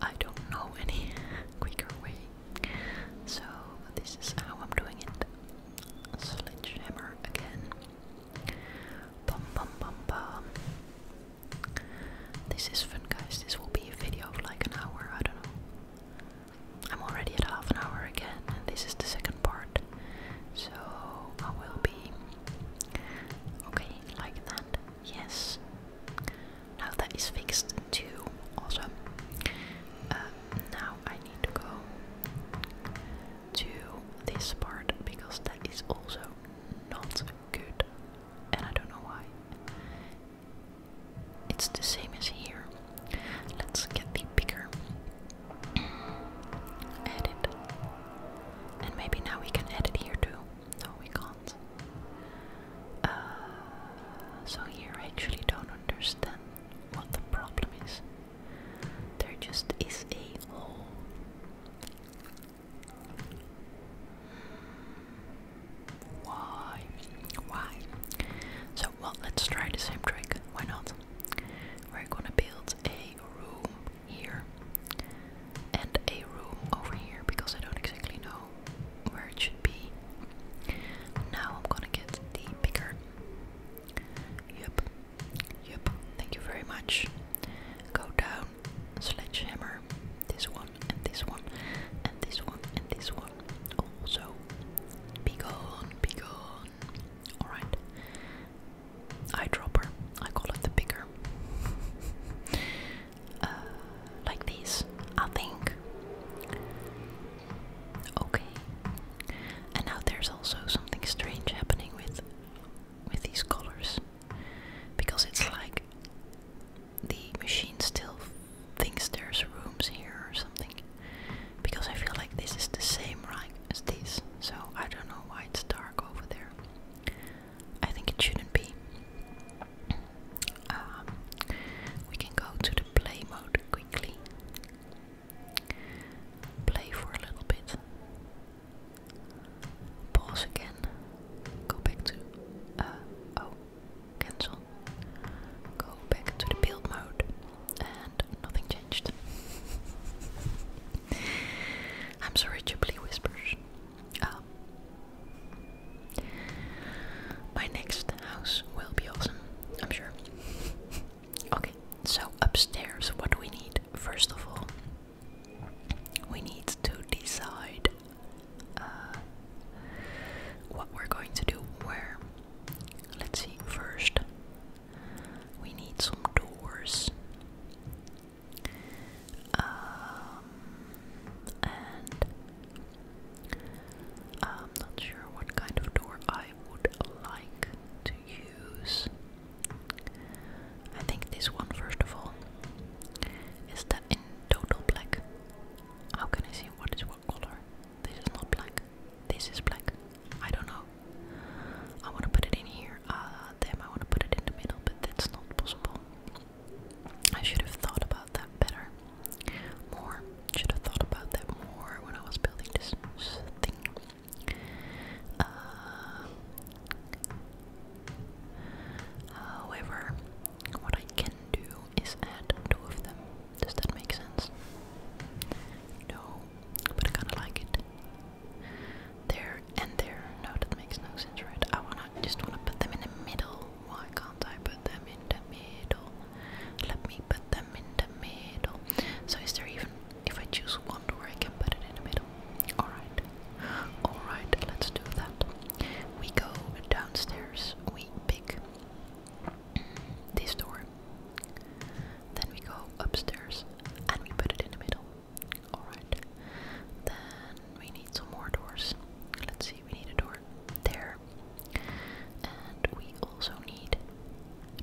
I don't know any quicker way so this is how I'm doing it. Sledgehammer again. Bum bum bum bum. This is fun guys, this will be a video of like an hour, I don't know. I'm already at half an hour again and this is the second part. So I will be okay, like that. Yes. Now that is fixed too. Awesome. Uh, now I need to go to this part because that is also not good, and I don't know why. It's the same as here. Let's get the bigger edit, and maybe now we can edit here too. No, we can't. Uh, so here I actually don't understand what the problem is. There just is a hole. Why? Why? So, well, let's try the same trick. Why not? We're gonna build a room here and a room over here because I don't exactly know where it should be. Now I'm gonna get the bigger. Yep, yep, thank you very much. Go down, sledgehammer, this one, and this one, and this one, and this one. Also, bigger, gone, be Alright. Eyedropper, I call it the picker. Uh, like this, I think. Okay. And now there's also something strange happening with with these colors. Because it's like the machine still thinks there's rooms here or something. Because I feel like this is the same right as this. So I don't know why it's dark over there. I think it shouldn't be. Um, we can go to the play mode quickly. Play for a little bit. Pause again. Go back to uh, oh, cancel. Go back to the build mode and nothing changed. I'm sorry, Ghibli whispers. Um, my next house will be awesome, I'm sure. Okay, so upstairs, what do we need? First of all, we need to decide uh, what we're going to do where. Let's see, first, we need some doors. Um, I'm not sure what kind of door I would like to use. I think this one, first of all, is that in total black. How can I see what is what color? This is not black. This is black. I don't know. I want to put it in here. Uh, I want to put it in the middle, but that's not possible. I should have thought about that better. More. Should have thought about that more when I was building this thing. Uh, however, what I can do is add two of them. Does that make sense? No, but I kinda like it. There and there. No, that makes no sense, right? I wanna just wanna put them in the middle. Why can't I put them in the middle. Let me put them in the middle. So is there even if I choose one where I can put it in the middle? Alright. Alright, let's do that. We go downstairs, we pick this door. Then we go upstairs and we put it in the middle. Alright. Then we need some more doors. Let's see, we need a door there. And we also need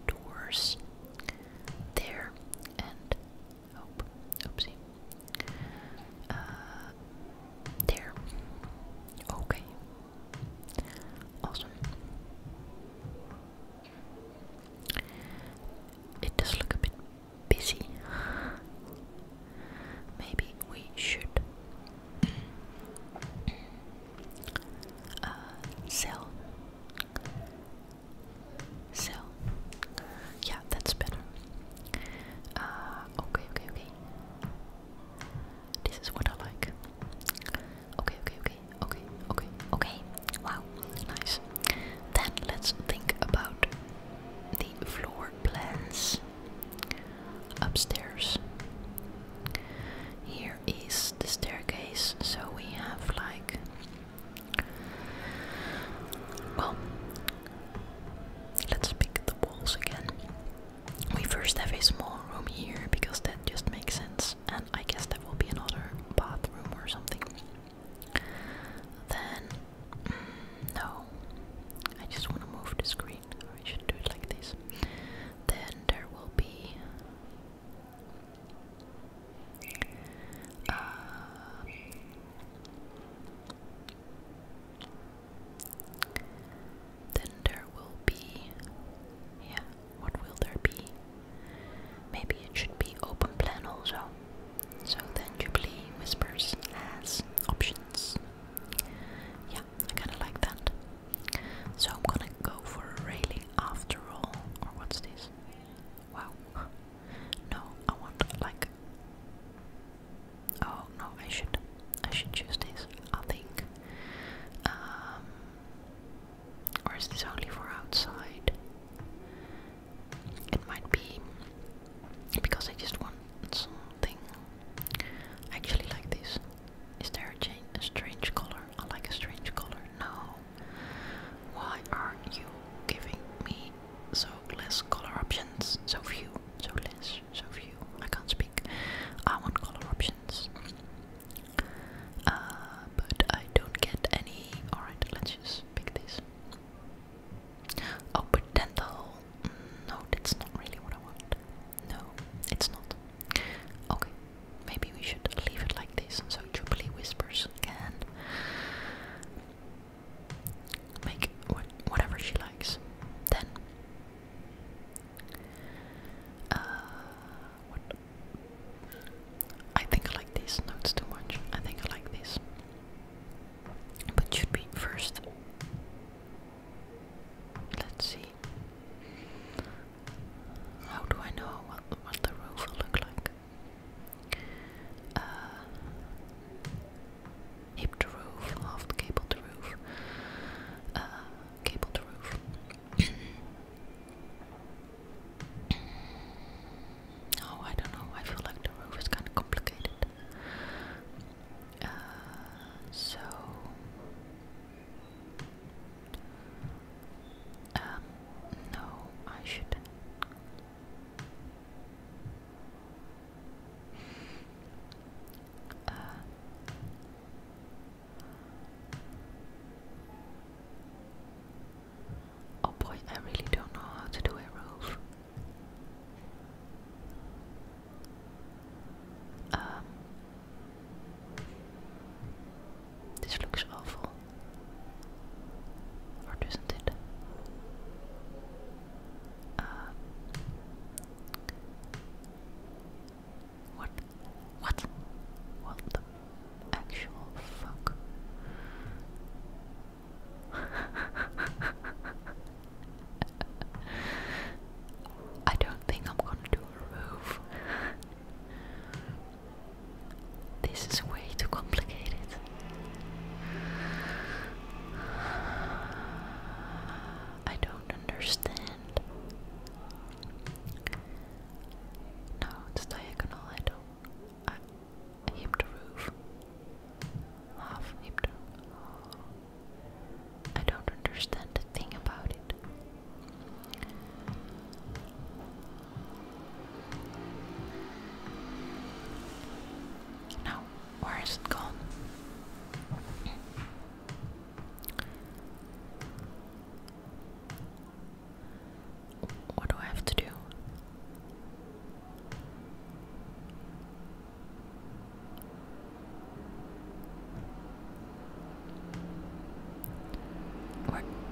doors there and oh, there. Okay. Awesome. It does look a bit busy. Maybe we should cell, uh, cell. Yeah, that's better. Uh, okay, okay, okay. This is what I like. Okay, okay, okay, okay, okay, okay. Wow, nice. Then let's think about the floor plans upstairs. Here is the staircase, so we have like well let's pick the walls again. We first have a small room here because that just makes sense and I guess there will be another bathroom or something. Then mm, no. I just want to move the screen green, should do it like this. Then there will be uh, then there will be yeah, what will there be? Maybe it should be open plan also. So then Jubilee whispers as options. Yeah, I kinda like that. So I'm gonna go for a railing after all. Or what's this? Wow. No, I want like. Oh no, I should, I should choose this. I think. Um, or is this only for outside? It might be because I just want something. actually like this. Is there a, strange color? I like a strange color. No. Why are you giving me so less color options? So few. So less. So few. I can't speak. I want color options. Uh, but I don't get any. Alright, let's just pick this. Oh, mm, no, that's not really what I want. No, it's not. Okay, maybe we should leave it like this so Jubilee Whispers and make whatever she likes. Then, uh, what? I think I like these notes too much. I think I like this. But should be first. Let's see. How do I know what, what the roof will look like? Uh, roof, half the roof, uh, roof. oh, I don't know. I feel like the roof is kind of complicated. Uh, so um, no, I shouldn't. Uh, oh boy, I really don't know how to do a roof. Um, this looks awful. Or not it? Uh, what? What? What the actual fuck? I don't think I'm gonna do a roof. This is way too complicated. I don't understand. No, it's diagonal. I don't. I, I the roof. Half hip the. I don't understand a thing about it. Now, where is it gone? What do I have to do?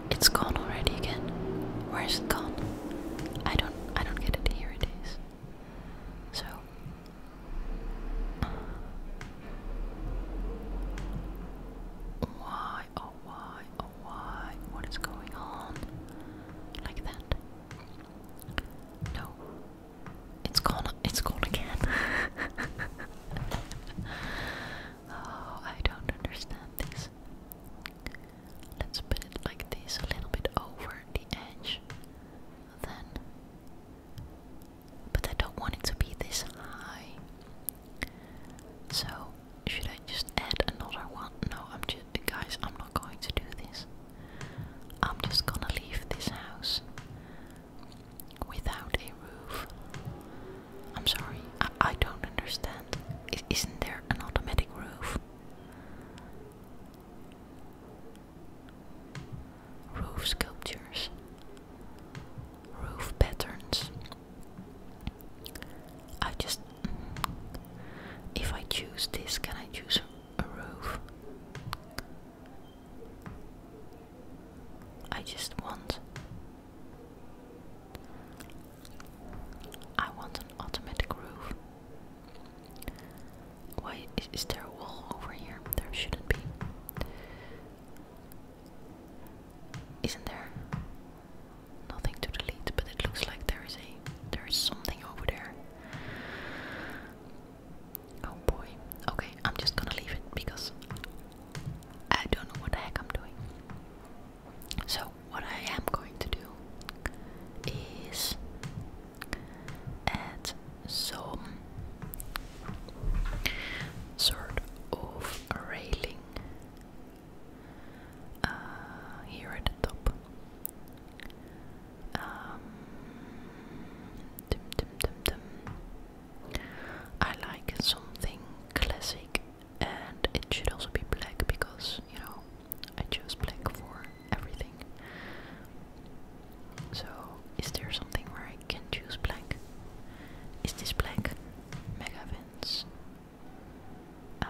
it's gone already again. Where is it gone? I don't. I don't get it. Here it is. So. Why? Oh why? Oh why? What is going on? Like that? No. It's gone. It's gone again. oh, I don't understand this. Let's put it like this, a little bit over the edge. Then, but I don't want it to be this high. So, should I just add another one? No, I'm just, guys, I'm not going to do this. I'm just gonna leave this house without a roof. I'm sorry, I, don't understand. is isn't there an automatic roof? Roof sculptures, roof patterns. I just. If I choose this, can I choose a roof? I just want. I want an automatic roof. Why is, there a wall over here? There shouldn't be. Isn't there? Nothing to delete, but it looks like there is a there is something over there. Oh boy. Okay, I'm just gonna leave it because I don't know what the heck I'm doing. So, what I am going to do is add some sort of railing uh, here at the top. Um, dum, dum, dum, I like something classic and it should also be black because, you know, I chose black for everything. So, is there something where I can choose black? Is this black? Megavins. Uh,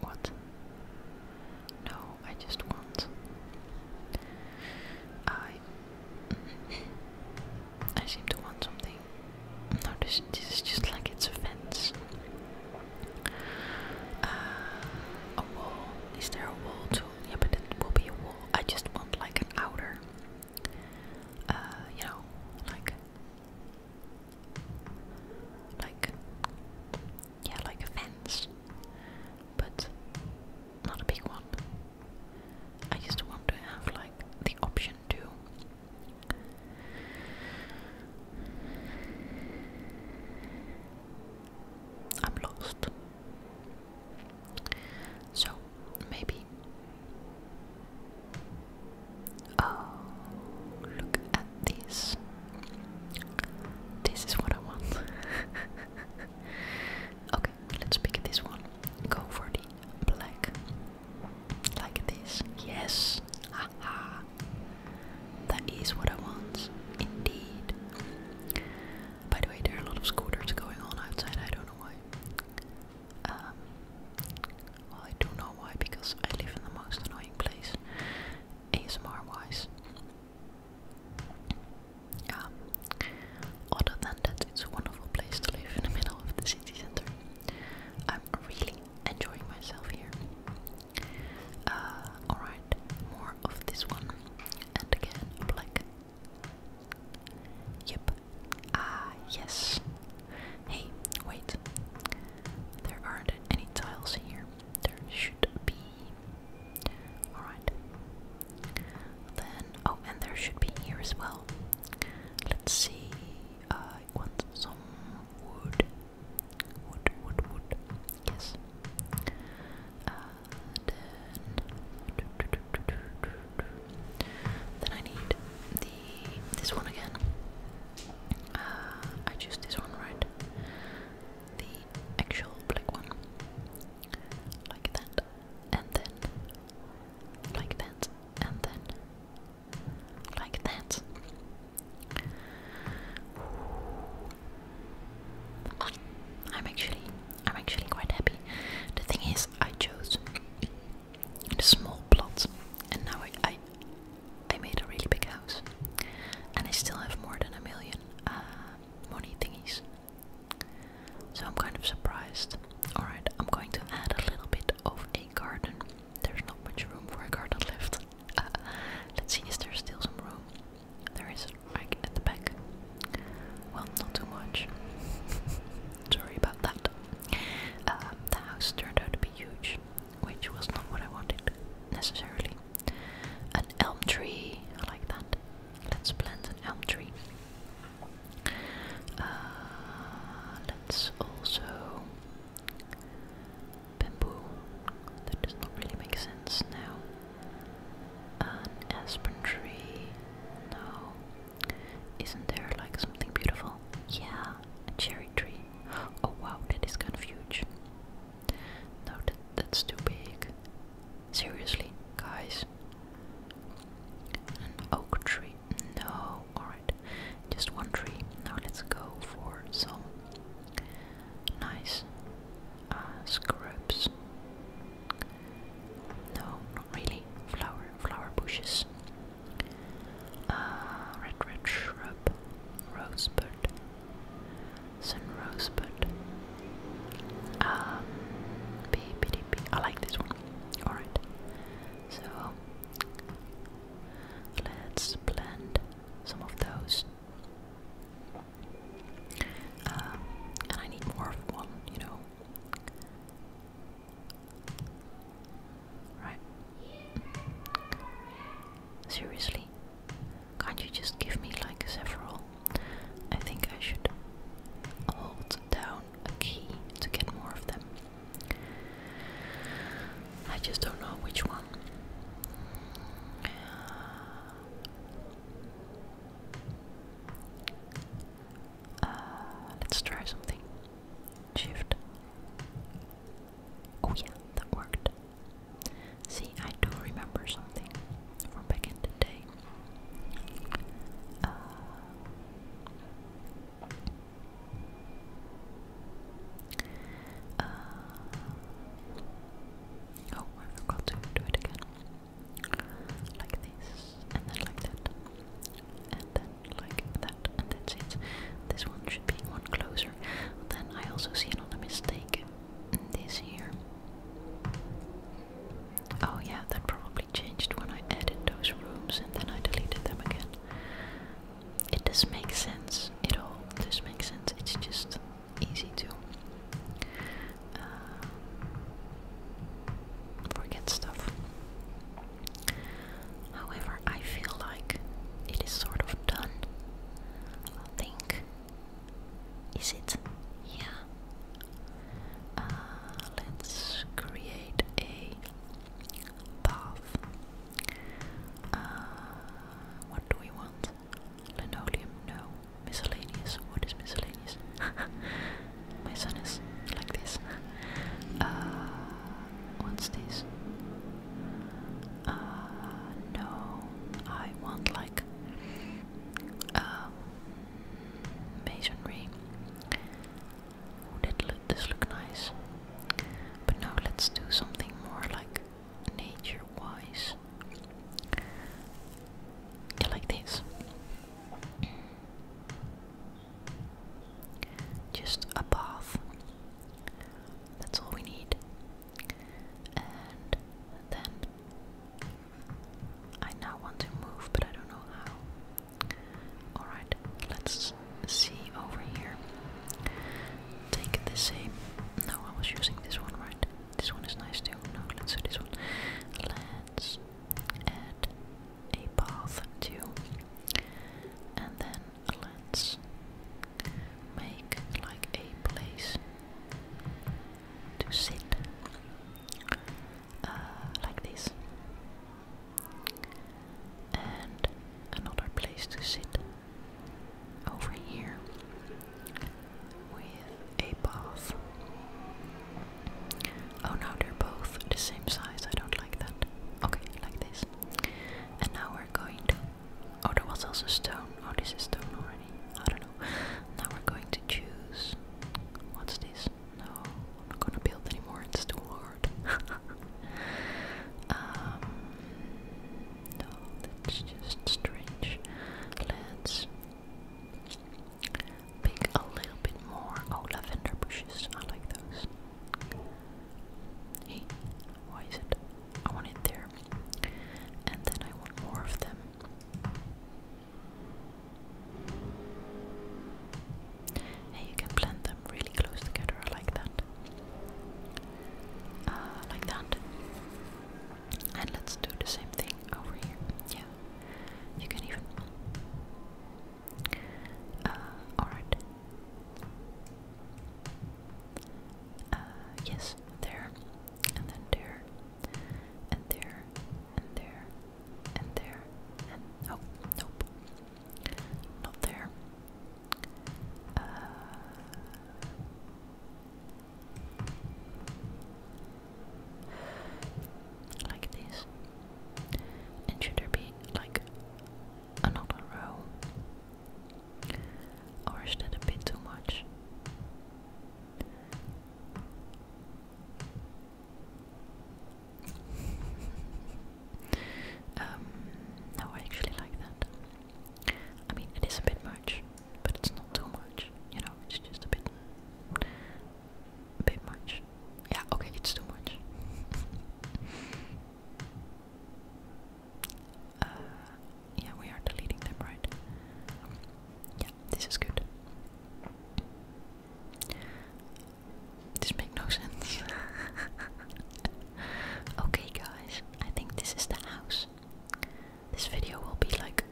what? No, I just want. I seem to want something. No, this, this is just like it's a fence. Uh, a wall. Is there a wall too? Yeah, but it will be a wall. I just want like an outer. Uh, you know, like, like, yeah, like a fence, but not a big one. I just want to have like the option to I'm lost. So maybe Oh look at this. This is what I want. okay, let's pick this one. Go for the black. Like this. Yes! Haha! that is what I want. Indeed. By the way, there are a lot of scooters going on outside. I don't know why. Um, well, I do know why because I live in the most annoying place, ASMR wise. Um, other than that, it's a wonderful place to live in the middle of the city center. I'm really enjoying myself here. Uh, alright, more of this one. And again, black. Yep. Ah, yes. Hey, wait. There aren't any tiles here. There should be. Alright. Then, oh, and there should be here as well. Let's see. Uh, I want some wood. Wood, wood, wood. Yes. Uh, then, then I need the this one again. Uh, I choose this one, right? The actual black one, like that and then like that, and then like that. I'm actually, I'm actually quite happy. The thing is, I chose a small plot, and now I, I, made a really big house, and I still have more than a million uh, money things. So I'm kind of surprised. Alright, I'm going to add a little bit of a garden. There's not much room for a garden left. let's see, is there still some room? There is, like, at the back. Well, not too much. Sorry about that. Um, the house turned out to be huge, which was not what I wanted, necessarily. An elm tree, I like that. Let's plant an elm tree. Uh, let's also bamboo. That does not really make sense now. An aspen tree. No. Isn't there like something beautiful? Yeah, a cherry tree. Oh wow, that is kind of huge. No, that, that's too big. Seriously, guys, an oak tree. No, alright. Just one tree. Now let's go for some nice uh, scrubs. No, not really. Flower, flower bushes. Ah, red, red shrub. Rosebud. Sun rosebud. Um, B, B, D, B. I like this one. Alright. So, let's blend some of those. Um, and I need more of one, you know. Right. Seriously? Can't you just give me like several? I think I should hold down a key to get more of them. I just don't know which one. Uh, let's try something. Shift. Oh, yeah, that worked. See, I do remember something from back in the day. Uh, uh, oh, I forgot to do it again. Like this, and then like that, and then like that, and that's it. This one should be one closer. Then I also see another mistake in this here. Oh yeah, that probably changed when I added those rooms and then I deleted them again. It does make sense. It all does make sense. It's just easy to uh, forget stuff. However, I feel like it is sort of done. think. Is it? Yeah. Uh, let's create a path. Uh, what do we want? Linoleum? No. Miscellaneous? What is miscellaneous? My son is like this. Uh, what's this? no, I want like um, masonry. Oh, that this look nice. But now let's do something more like nature-wise. like this. Just a path. That's all we need. And then I now want to move, but I don't know how. Alright, let's see over here. Take the same. No, I was using this one, right? This one is nice too. No, let's do this one. Let's add a path to, And then let's make like a place to sit uh, like this. And another place to sit over here with a bath. Oh, no, they're both the same size. I don't like that. Okay, like this. And now we're going to. Oh, there was also stone. Oh, this is stone already. I don't know. Now we're going to choose. What's this? No, I'm not gonna build anymore, it's too hard. Um, no, that's just strange. Let's pick a little bit more. Oh, lavender bushes, I like those. Hey, why is it? I want it there. And then I want more of them. And you can blend them really close together like that. Uh, like that. And let's do the same thing over here. Yeah. You can even uh, alright. Uh, yes, there, and then there, and there, and there, and there, and oh, nope, not there. Uh, like this. And should there be like another row? Or is that a bit too much? Um, no, I actually like that. I mean, it is a bit much, but it's not too much. You know, it's just a bit, a bit much. Yeah, okay, it's too much. Uh, yeah, we are deleting them, right? this is good. This makes no sense. okay, guys, I think this is the house. This video will be like,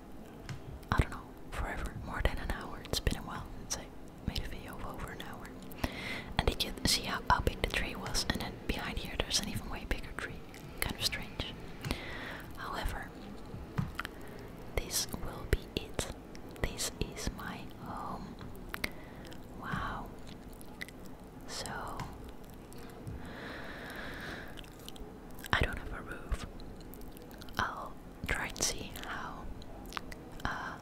I don't know, forever, more than an hour. It's been a while since I made a video of over an hour. And did you see how, how big the tree was? And then behind here, there's an even way bigger tree. Kind of strange. However, this will be it. This is my home. Wow. So, I don't have a roof. I'll try and see how uh,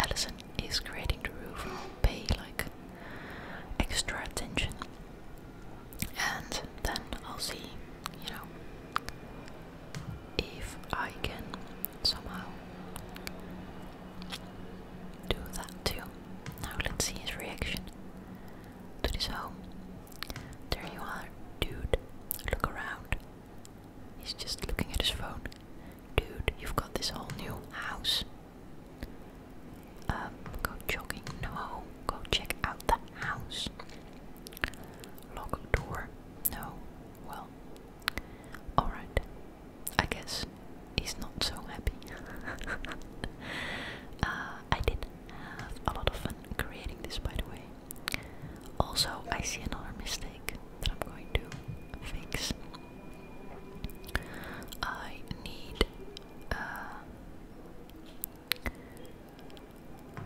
Allison is creating the roof. I'll pay like extra attention and then I'll see you know, if I can somehow do that too. Now let's see his reaction to this home. There you are, dude. Look around. He's just looking at his phone. Dude, you've got this whole new house. Um, go jogging. No, go check out the house. Lock door? No. Well. Alright. I guess he's not so happy. Uh, I did have a lot of fun creating this, by the way. Also, I see another mistake that I'm going to fix. I need. Uh,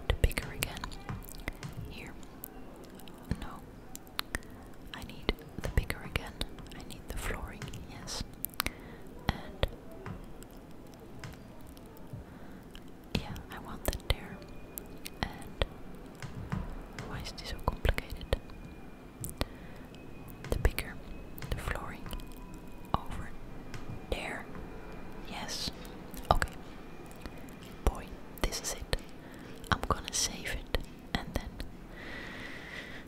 to bigger again. Here. No. I need the bigger again. I need the flooring, yes. And. Yeah, I want that there. And. Why is this so complicated? The bigger, the flooring over there. Yes. Okay boy, this is it. I'm gonna save it and then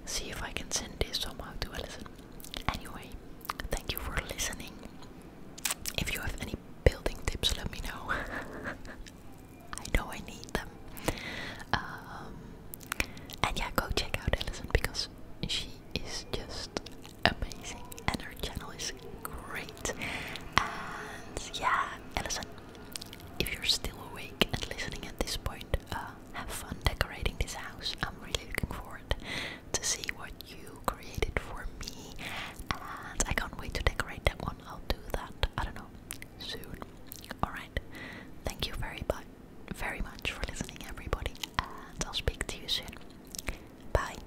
see if I can send this somehow to Alison. Anyway, thank you for listening. If you have any building tips, let me know. I know I need them. Um, and yeah, go check out Alison because she is just amazing and her channel is great. And yeah, Alison, if you're still awake and listening at this point, uh, have fun decorating this house. I'm really looking forward to see what you created for me, and I can't wait to decorate that one. I'll do that. I don't know soon. All right. Thank you very much, very much for listening, everybody, and I'll speak to you soon. Bye.